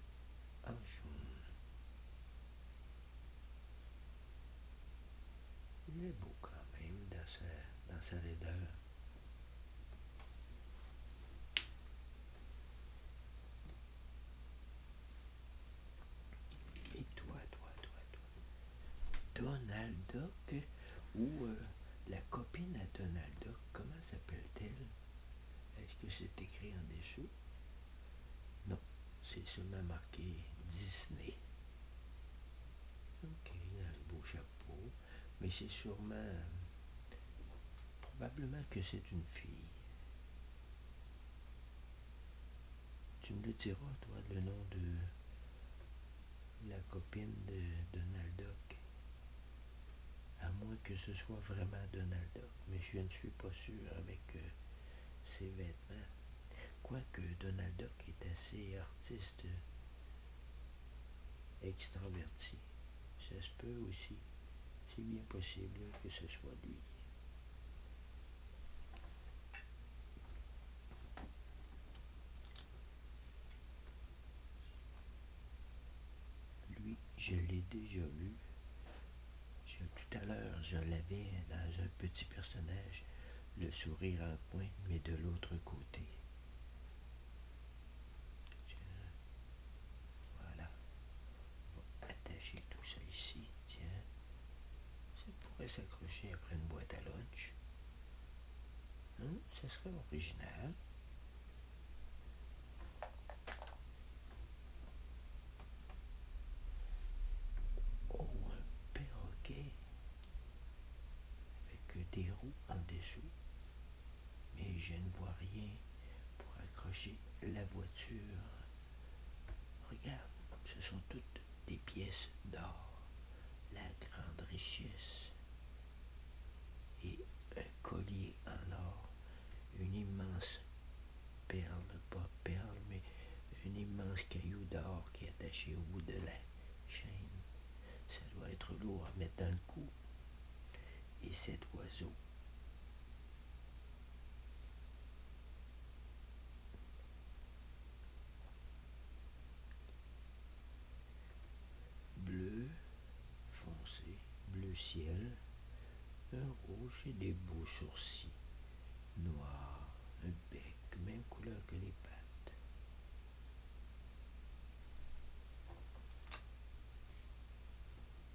en jaune. Il est beau quand même dans sa, dans sa laideur. Et toi, toi, toi, toi. Donald Duck ou euh, la copine à Donald Duck, comment s'appelle-t-elle? Est-ce que c'est écrit en dessous? Non, c'est seulement marqué Disney. Ok, il a un beau chapeau. Mais c'est sûrement. probablement que c'est une fille. Tu me le diras, toi, le nom de la copine de Donald Duck. À moins que ce soit vraiment Donald Duck. Mais je ne suis pas sûr avec euh, ses vêtements. Quoique Donald Duck est assez artiste extroverti. Euh, extraverti. Ça se peut aussi. C'est bien possible que ce soit lui. Lui, je l'ai déjà lu. tout à l'heure, je l'avais dans un petit personnage le sourire un coin, mais de l'autre côté. Voilà. attacher tout ça ici. Tiens. Ça pourrait s'accrocher après une boîte à lunch. Hein? Ça serait original. Oh, un perroquet avec des roues en dessous, mais je ne vois rien pour accrocher la voiture. Regarde, ce sont toutes des pièces d'or, la grande richesse et un collier en or, une immense perle, pas perle, mais une immense caillou d'or qui est attaché au bout de la chaîne. Ça doit être lourd à mettre d'un coup. Et cet oiseau, bleu foncé, bleu ciel, un rouge et des beaux sourcils, noir, un de même couleur que les pattes.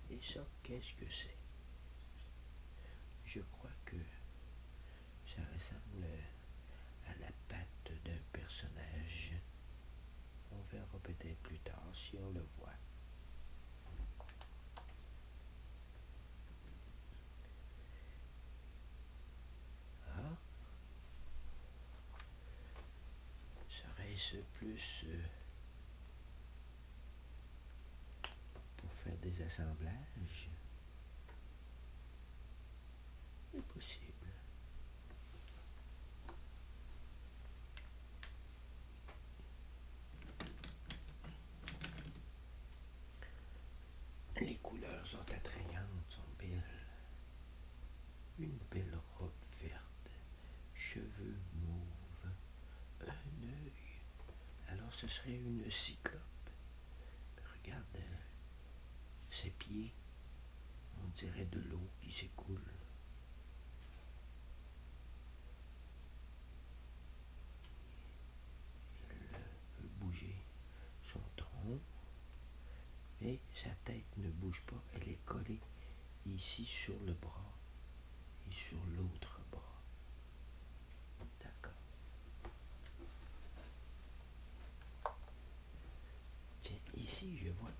Et ça, qu'est-ce que c'est Je crois que ça ressemble à la patte d'un personnage. On verra peut-être plus tard si on le voit. Ah. Serait-ce plus euh, pour faire des assemblages Impossible. possible. Les couleurs sont attrayantes, sont belles. Une belle robe verte, cheveux mauves, un œil. Alors ce serait une cyclope. Regarde ses pieds. On dirait de l'eau qui s'écoule bouger son tronc, mais sa tête ne bouge pas, elle est collée ici sur le bras et sur l'autre bras. D'accord. Tiens, ici je vois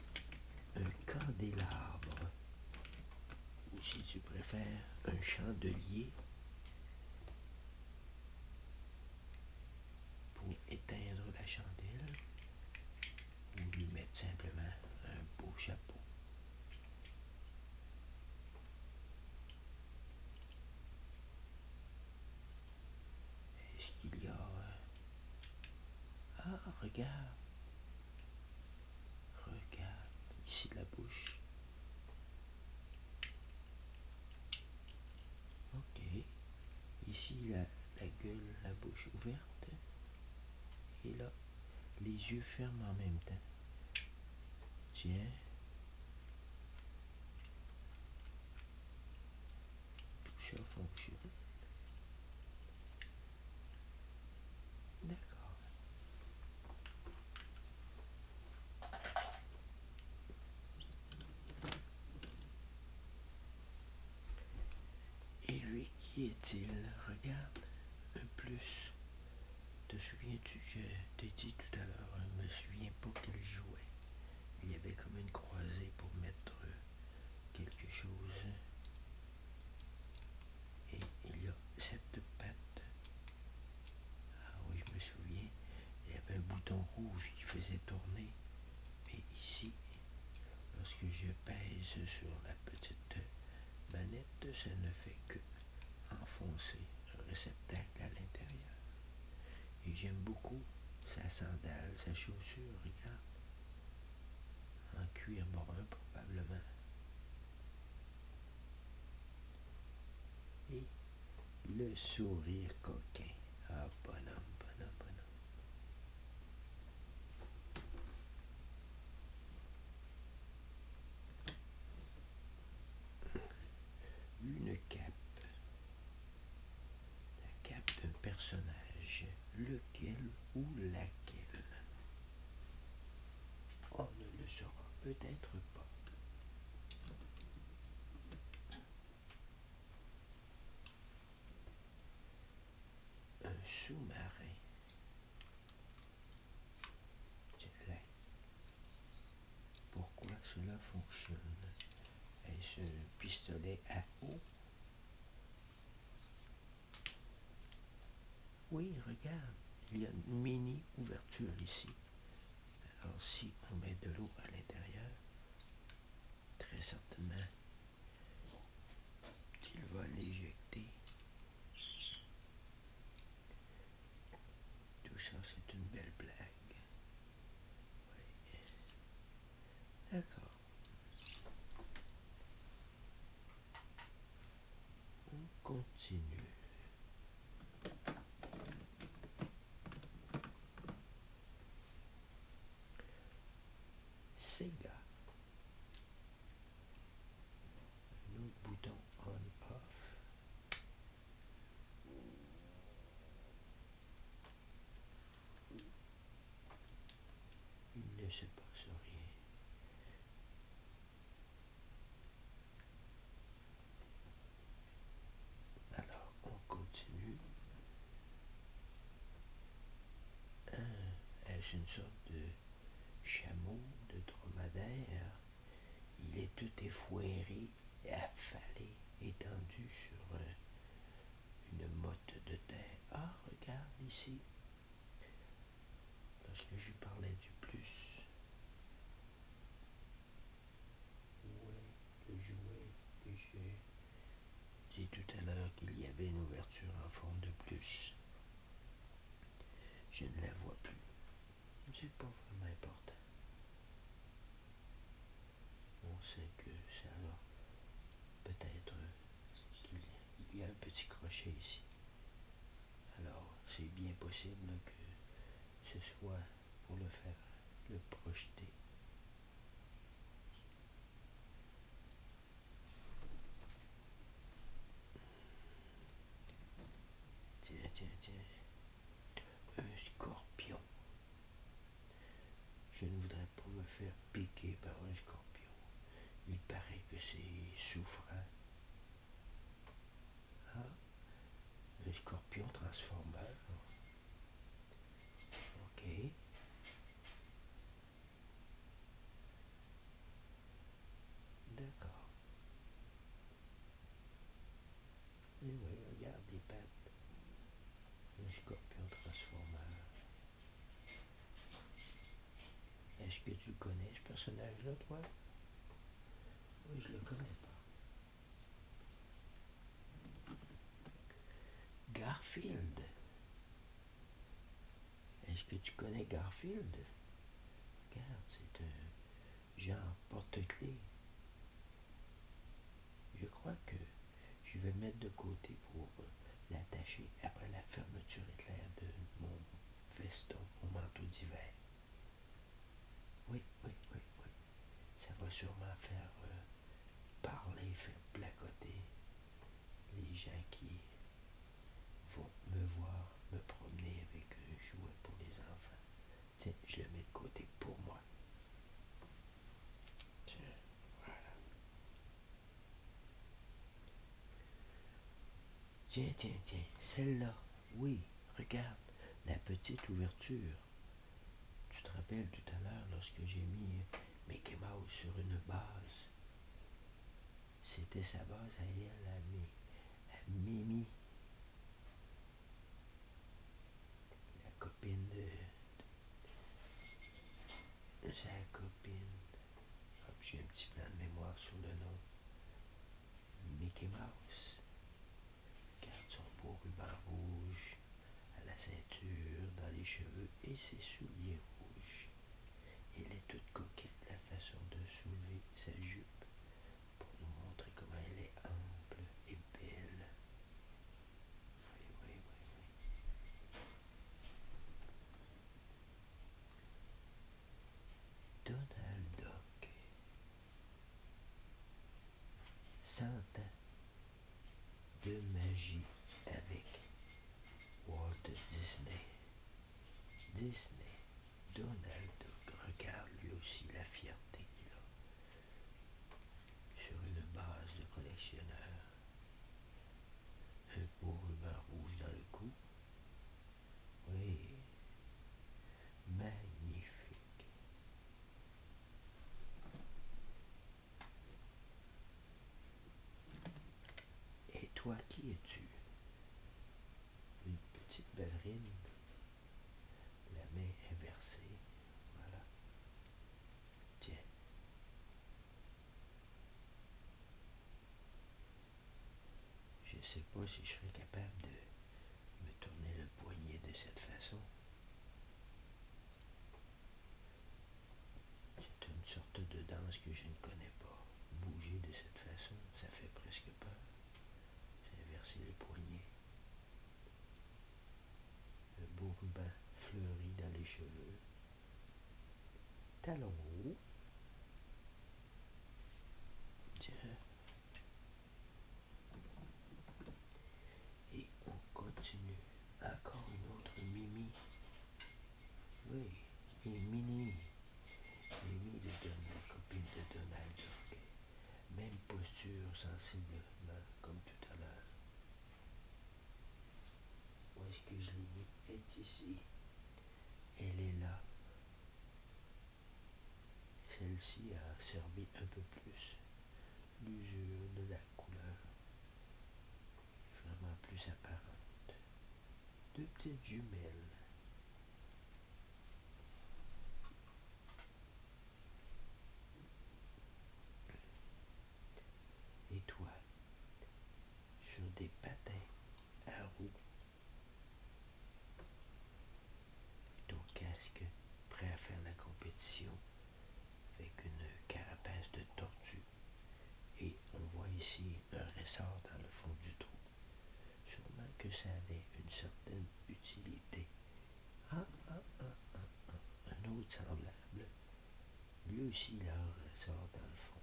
un candélabre, ou si tu préfères, un chandelier pour éteindre la chandelle ou lui mettre simplement un beau chapeau. Est-ce qu'il y a... Euh, ah, regarde. Regarde ici la bouche. Ok. Ici, la, gueule, la bouche ouverte. Et là, les yeux fermés en même temps. Tiens. Tout ça fonctionne. D'accord. Et lui, qui est-il Regarde, un plus. Te souviens-tu, que t'ai dit tout à l'heure, je me souviens pas qu'il jouait. Il y avait comme une croisée pour mettre quelque chose. Et il y a cette patte. Ah oui, je me il y avait un bouton rouge qui faisait tourner. Mais ici, lorsque je pèse sur la petite manette, ça ne fait que enfoncer le réceptacle à l'intérieur. Et j'aime beaucoup sa sandale, sa chaussure, regarde. En cuir brun probablement. Et le sourire coquin. Ah, bonhomme, bonhomme, bonhomme. Une cape. La cape d'un personnage. Lequel ou laquelle On ne le saura peut-être pas. Un sous-marin. Pourquoi cela fonctionne Et ce pistolet à eau Oui, regarde, il y a une mini ouverture ici. Alors si on met de l'eau à l'intérieur, très certainement qu'il va l'éjecter. Tout ça, c'est une belle blague. D'accord. On continue. Sega. Nous autre bouton on off. Il ne se passe rien. Alors on continue. un euh, est-ce une sorte de chameau, de dromadaire Il est tout effouéré, affalé, étendu sur euh, une motte de terre. Ah, regarde ici. parce que je parlais du plus, jouer, jouer, J'ai dit tout à l'heure qu'il y avait une ouverture en forme de plus. Je ne la vois plus. C'est pas vraiment important. On sait que c'est alors Peut-être qu'il y a un petit crochet ici. Alors, c'est bien possible que ce soit pour le faire, le projeter. Tiens, tiens, tiens. Un scorpion. Je ne voudrais pas me faire piquer par un scorpion. Il paraît que c'est souffrant. Ah, un scorpion transformeur. Ok. D'accord. Et oui, regarde les pattes. Le scorpion transformeur. Est-ce que tu connais ce personnage-là, toi? Oui, je le connais pas. Garfield. Est-ce que tu connais Garfield Regarde, c'est un genre porte-clés. Je crois que je vais mettre de côté pour l'attacher après la fermeture éclair de mon veston, mon manteau d'hiver. Oui, oui, oui, oui. Ça va sûrement faire euh, parler, faire placoter les gens qui vont me voir, me promener avec un jouet pour les enfants. Tiens, je le mets de côté pour moi. Tiens, voilà. Tiens, tiens, tiens, celle-là, oui, regarde, la petite ouverture. Tu te rappelles tout à l'heure lorsque j'ai mis Mickey Mouse sur une base. C'était sa base à elle, à, Mimi. La copine de... Sa copine. j'ai un petit plan de mémoire sur le nom. Mickey Mouse. Garde son beau ruban rouge à la ceinture, dans les cheveux et ses souliers rouges. Elle est toute coquette la façon de soulever sa jupe pour nous montrer comment elle est ample et belle. Oui, oui, oui, oui. Donald de magie avec Walt Disney. Disney, Donald regarde lui aussi la fierté qu'il a. Sur une base de collectionneur, un beau ruban rouge dans le cou. Oui, magnifique. Et toi, qui es-tu Une petite ballerine. La main inversée. Voilà. Tiens. Je ne sais pas si je serais capable de me tourner le poignet de cette façon. C'est une sorte de danse que je ne connais pas. Bouger de cette façon, ça fait presque peur. J'ai versé les poignets. Le beau ruban fleuri dans les cheveux. Talons Tiens. Et on continue. Encore une autre Mimi. Oui, une Mini. Mimi de Donald, copine de Donald Même posture sensible, ben, comme tout à l'heure. Où est-ce que je l'ai mis Est ici. Elle est là. Celle-ci a servi un peu plus l'usure de la couleur vraiment plus apparente. Deux petites jumelles. Et toi, sur des patins à roues. Ton casque prêt à faire la compétition avec une carapace de tortue. Et on voit ici un ressort dans le fond du trou. Sûrement que ça avait une certaine utilité. Ah, ah, ah, un autre semblable. Lui aussi, là, un ressort dans le fond.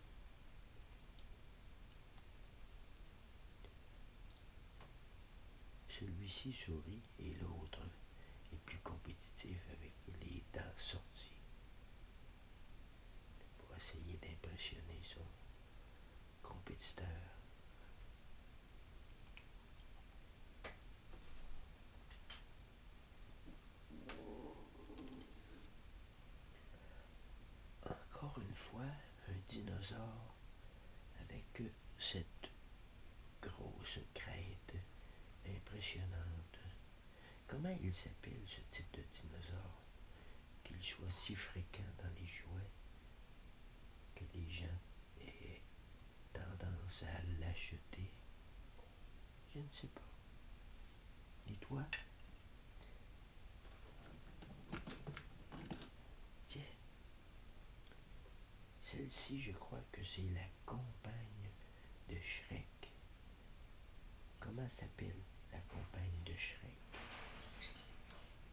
Celui-ci sourit et l'autre est plus compétitif avec les dents sorties pour essayer d'impressionner son compétiteur. Encore une fois, un dinosaure avec cette grosse crête impressionnante. Comment il s'appelle ce type de dinosaure qu'il soit si fréquent dans les jouets que les gens aient tendance à l'acheter Je ne sais pas. Et toi Tiens, celle-ci, je crois que c'est la compagne de Shrek. Comment s'appelle la compagne de Shrek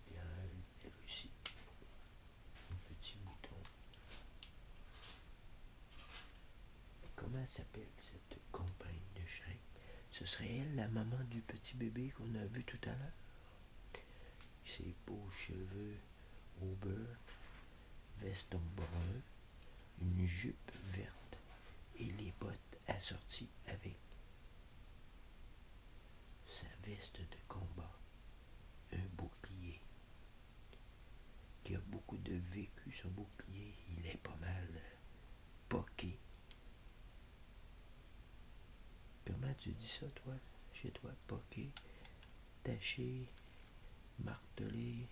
Bien, elle aussi. Un petit mouton. Comment s'appelle cette compagne de Shrek Ce serait elle, la maman du petit bébé qu'on a vu tout à l'heure Ses beaux cheveux au beurre, veston brun une jupe verte et les bottes assorties avec sa veste de combat, un bouclier, qui a beaucoup de vécu son bouclier, il est pas mal euh, poqué. Comment tu dis ça toi, chez toi, poqué? taché, martelé.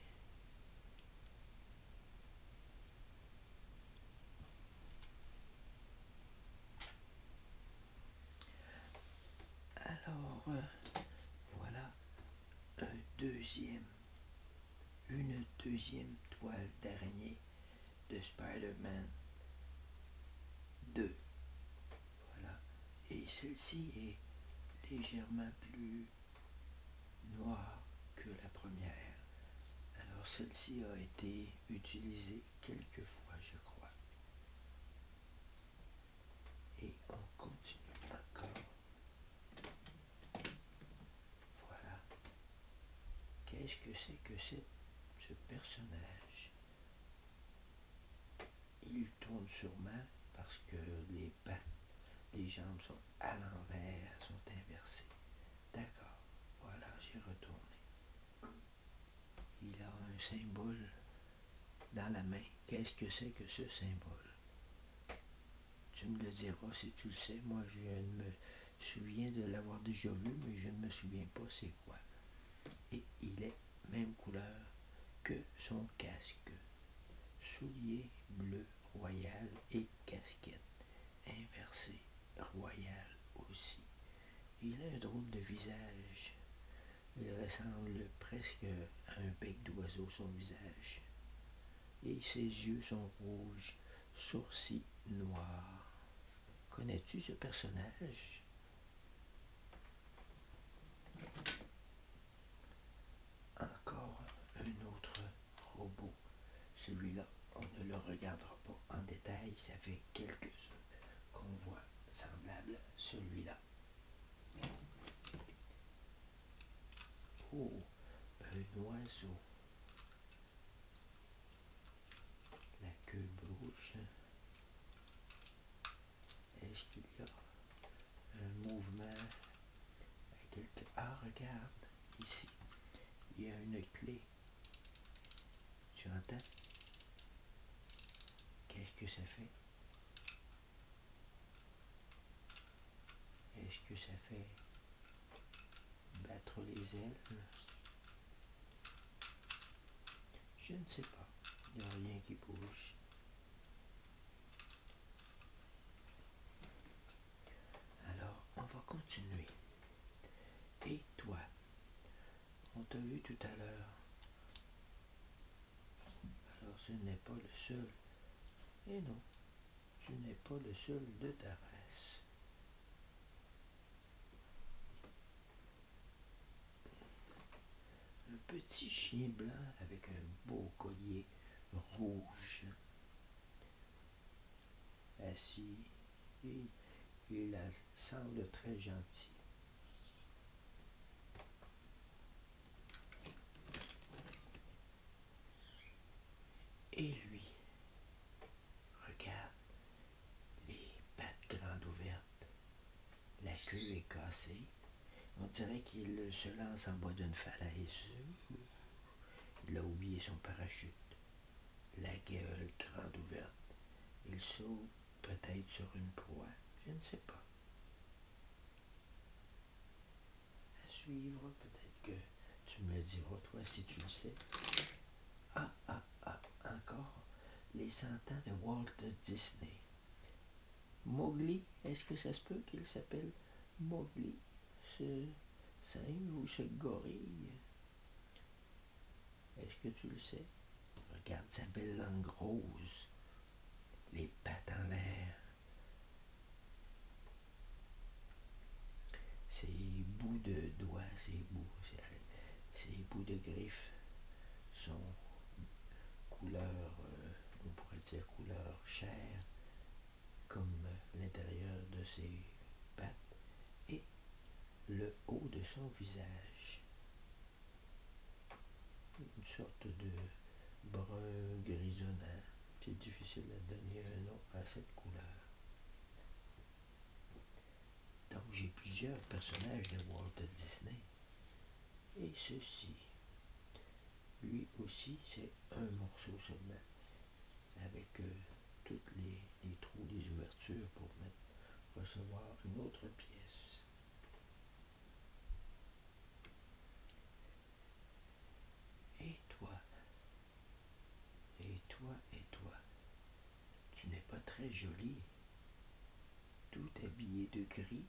Alors, euh, voilà un deuxième, une deuxième toile dernier de Spider-Man 2. Voilà. Et celle-ci est légèrement plus Noir que la première. Alors celle-ci a été utilisée quelques fois, je crois. Et on continue encore. Voilà. Qu'est-ce que c'est que c'est ce personnage tourne sûrement parce que les pattes, les jambes sont à l'envers, sont inversées. D'accord, voilà, j'ai retourné. Il a un symbole dans la main. Qu'est-ce que c'est que ce symbole? Tu me le diras si tu le sais. Moi, je ne me souviens de l'avoir déjà vu, mais je ne me souviens pas c'est quoi. Et il est même couleur que son casque. Souliers bleu, royal et casquette inversée royal aussi. Il a un drôle de visage. Il ressemble presque à un bec d'oiseau son visage. Et ses yeux sont rouges, sourcils noirs. Connais-tu ce personnage encore un autre robot. Celui-là, on ne le regardera pas en détail. Ça fait quelques-uns qu'on voit semblable celui-là. Oh, un oiseau. La queue bouche. Est-ce qu'il y a un mouvement Ah, regarde, ici, il y a une clé. Tu entends Qu'est-ce que ça fait Est-ce que ça fait battre les ailes Je ne sais pas. Il n'y a rien qui bouge. Alors, on va continuer. Et toi, on t'a vu tout à l'heure. Alors, ce n'est pas le seul. Et eh non, tu n'es pas le seul de ta race. Un petit chien blanc avec un beau collier rouge. Assis, et il semble très gentil. Et lui, regarde, les pattes grandes ouvertes, la queue est cassée, on dirait qu'il se lance en bas d'une falaise. Il a oublié son parachute. La gueule grande ouverte. Il saute peut-être sur une proie. Je ne sais pas. À suivre, peut-être que tu me diras, toi, si tu le sais. Ah, ah, ah, encore les cent ans de Walt Disney. Mowgli, est-ce que ça se peut qu'il s'appelle Mowgli, ce singe ou ce gorille Est-ce que tu le sais Regarde sa belle langue rose, les pattes en l'air, ses bouts de doigts, ses bouts, ses, bouts de griffes sont couleur, euh, on pourrait dire couleur comme l'intérieur de ses pattes et le haut de son visage. Une sorte de brun grisonnant. C'est difficile de donner un nom à cette couleur. Donc j'ai plusieurs personnages de Walt Disney. Et ceci lui aussi c'est un morceau seulement avec tous euh, toutes les, trous des ouvertures pour recevoir une autre pièce et toi et toi et toi tu n'es pas très joli, tout habillé de gris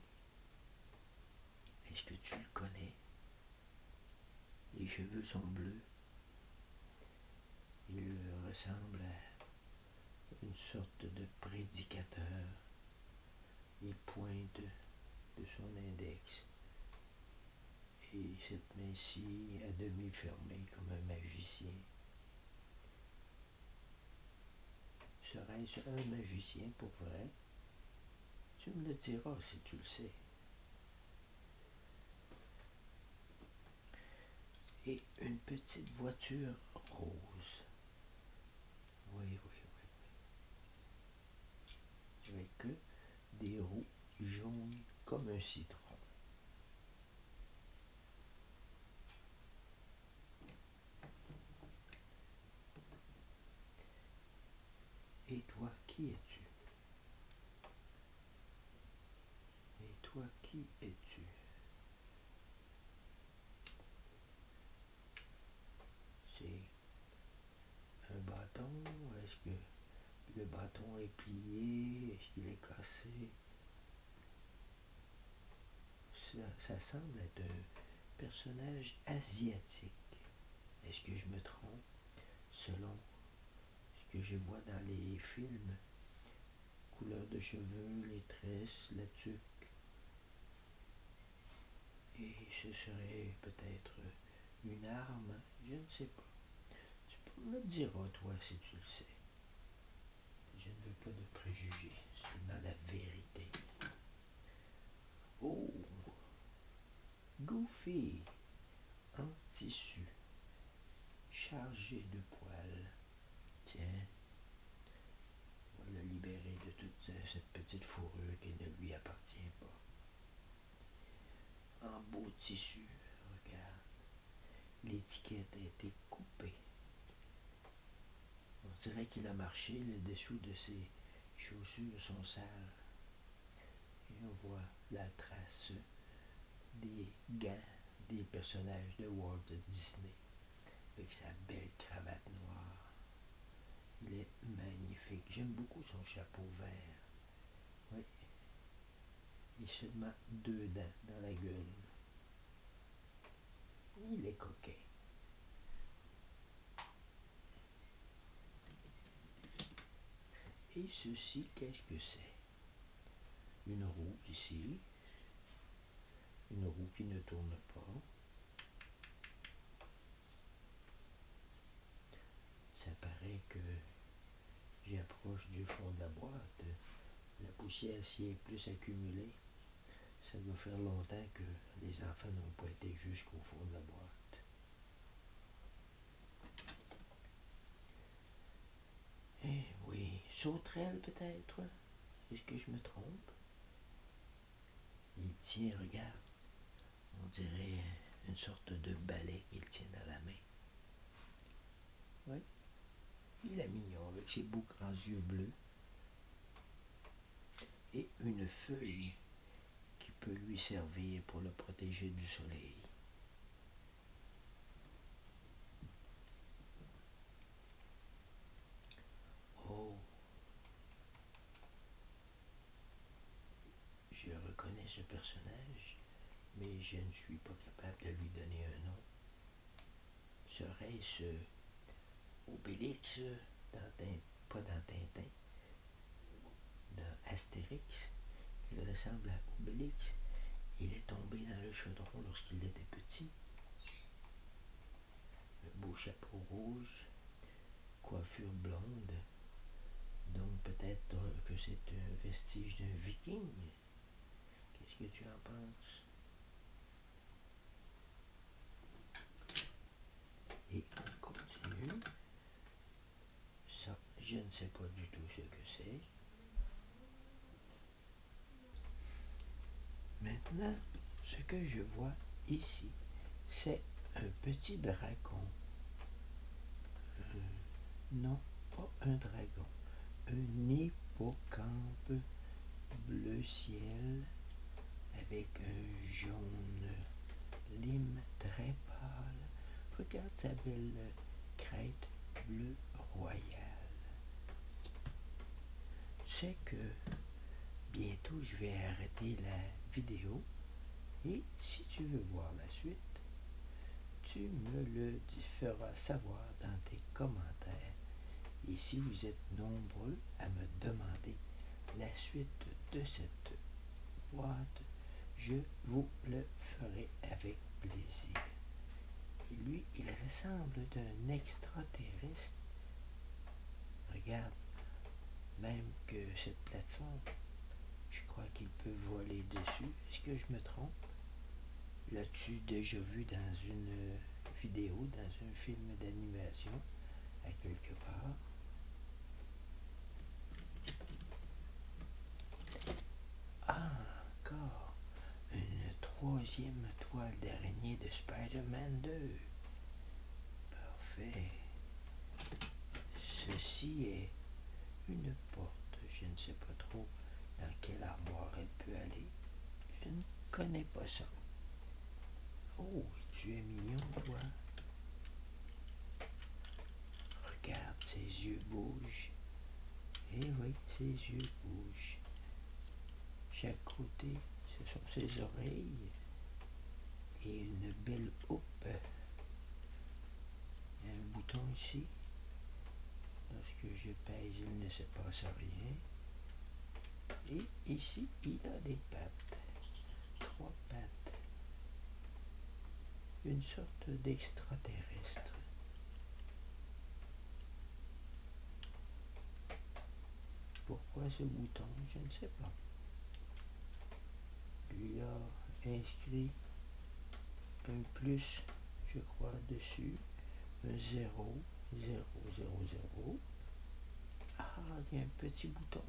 est-ce que tu le connais Les cheveux sont bleus. Il ressemble à une sorte de prédicateur. Il pointe de son index. Et cette main-ci, à demi fermée comme un magicien. Serait-ce un magicien pour vrai tu me le diras si tu le sais. Et une petite voiture rose. Oui, oui, oui. Avec des roues jaunes comme un citron. Et toi, qui es-tu Et toi, qui es-tu C'est un bâton Est-ce que le bâton est plié Est-ce qu'il est cassé ça, semble être un personnage asiatique. Est-ce que je me trompe selon ce que je vois dans les films Couleur de cheveux, les tresses, la tuque. Et ce serait peut-être une arme, je ne sais pas. Tu peux me dire à hein, toi, si tu le sais. Je ne veux pas de préjugés, seulement la vérité. Oh, Goofy, en tissu, chargé de poils. Tiens, on va le libérer de toute cette petite fourrure qui ne lui appartient pas. En beau tissu, regarde, l'étiquette a été coupée. On dirait qu'il a marché le dessous de ses chaussures sont sales. Et on voit la trace des gants des personnages de Walt Disney avec sa belle cravate noire. Il est magnifique. J'aime beaucoup son chapeau vert. Oui. Il se seulement deux dents dans la gueule. Il est coquet. Et ceci, qu'est-ce que c'est Une roue ici, une roue qui ne tourne pas. Ça paraît que j'approche du fond de la boîte. La poussière s'y est plus accumulée. Ça doit faire longtemps que les enfants n'ont pas été jusqu'au fond de la boîte. Eh oui, sauterelle peut-être. Est-ce que je me trompe? Il tient, regarde. On dirait une sorte de balai qu'il tient dans la main. Oui. Il est mignon avec ses beaux grands yeux bleus et une feuille qui peut lui servir pour le protéger du soleil. Oh, je reconnais ce personnage, mais je ne suis pas capable de lui donner un nom. Serait-ce Obélix, pas dans Tintin, de Astérix, il ressemble à Obélix. Il est tombé dans le chaudron lorsqu'il était petit. Le beau chapeau rouge, coiffure blonde. Donc peut-être que c'est un vestige d'un viking. Qu'est-ce que tu en penses? Et on continue. Ça, je ne sais pas du tout ce que c'est. Maintenant, ce que je vois ici, c'est un petit dragon. Euh, non, pas un dragon. Un hippocampe bleu ciel avec un jaune lime très pâle. Regarde sa belle crête bleue royale. Tu sais que bientôt je vais arrêter la vidéo et si tu veux voir la suite, tu me le feras savoir dans tes commentaires. Et si vous êtes nombreux à me demander la suite de cette je vous le ferai avec plaisir. Et lui, il ressemble d'un extraterrestre. Regarde, même que cette plateforme, je crois qu'il peut voler dessus. Est-ce que je me trompe? L'as-tu déjà vu dans une vidéo, dans un film d'animation? à quelque part. Ah, encore une troisième toile d'araignée de Spider-Man 2. Parfait. Ceci est une porte. Je ne sais pas trop dans quel armoire elle peut aller. Je ne connais pas ça. Oh, tu es mignon, toi. Regarde, ses yeux bougent. Et eh oui, ses yeux bougent. Chaque côté, ce sont ses oreilles et une belle houpe. Il y a un bouton ici. Lorsque je pèse, il ne se passe rien. Et ici, il a des pattes trois pattes, une sorte d'extraterrestre. Pourquoi ce bouton Je ne sais pas. Lui a inscrit un plus, je crois, dessus, un 0, 0, 0, 0. Ah, il y a un petit bouton.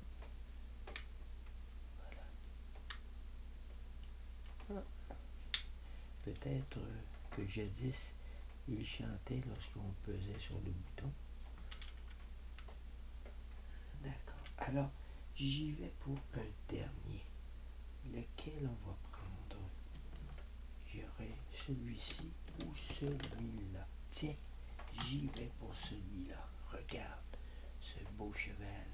Peut-être que jadis, il chantait lorsqu'on pesait sur le bouton. D'accord. Alors, j'y vais pour un dernier. Lequel on va prendre J'irai celui-ci ou celui-là. Tiens, j'y vais pour celui-là regarde ce beau cheval.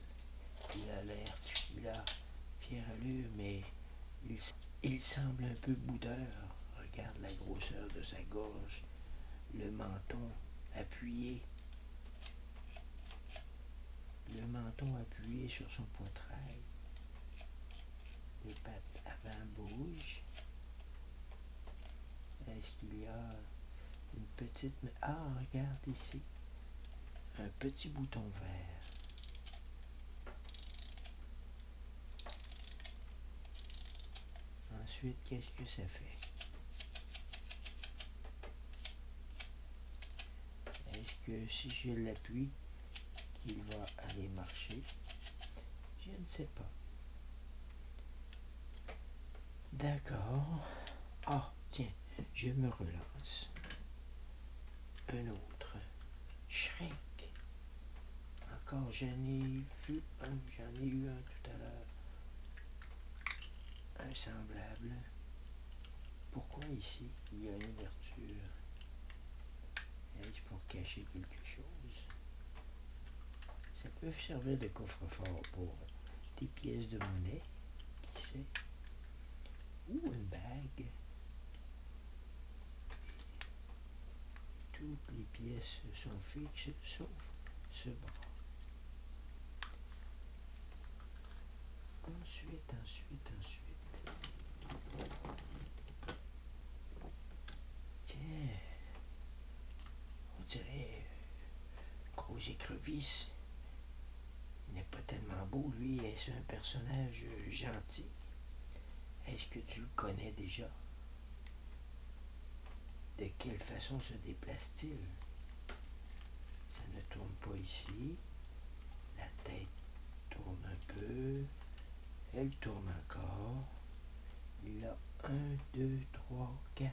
Il a l'air, il fier à lui, mais il, semble un peu boudeur. Regarde la grosseur de sa gorge, le menton appuyé, le menton appuyé sur son poitrail, les pattes avant bougent. Il y a une petite... Ah, regarde ici. Un petit bouton vert. Ensuite, qu'est-ce que ça fait Est-ce que si je l'appuie, qu'il va aller marcher Je ne sais pas. D'accord. Ah, tiens, je me relance. Un autre. Shrek. Encore, j'en ai vu un, j'en ai eu un tout à l'heure. Un semblable. Pourquoi ici, il y a une ouverture Est-ce pour cacher quelque chose Ça peut servir de coffre-fort pour des pièces de monnaie, qui sait, ou une bague. Toutes les pièces sont fixes sauf ce bord. Ensuite, ensuite, ensuite. Tiens, on dirait, gros écrevisse. Il n'est pas tellement beau, lui. Est-ce un personnage euh, gentil? Est-ce que tu le connais déjà? De quelle façon se déplace-t-il? Ça ne tourne pas ici. La tête tourne un peu. Elle tourne encore. Il a 1, 2, 3, 4,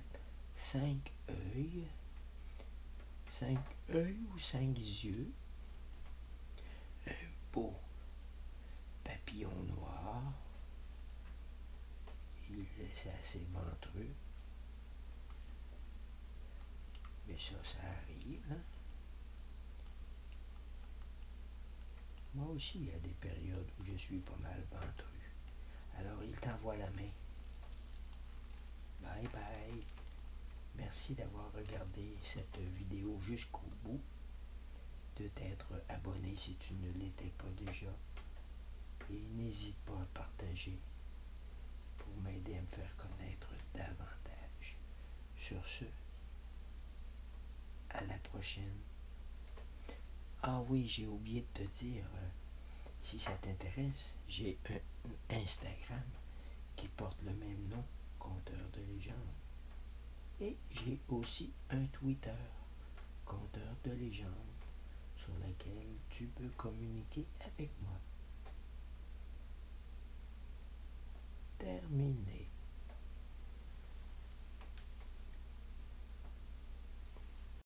5, œil, cinq ou cinq yeux, un beau papillon noir, il est assez ventreux, mais ça, ça arrive. Hein. Moi aussi, il y a des périodes où je suis pas mal ventreux. Alors il t'envoie la main. Bye bye. Merci d'avoir regardé cette vidéo jusqu'au bout. De t'être abonné si tu ne l'étais pas déjà. Et n'hésite pas à partager pour m'aider à me faire connaître davantage. Sur ce, à la prochaine. Ah oui, j'ai oublié de te dire, si ça t'intéresse, j'ai un Instagram qui porte le même nom, Conteur de légende. Et j'ai aussi un Twitter, Compteur de légende, sur lequel tu peux communiquer avec moi. Terminé.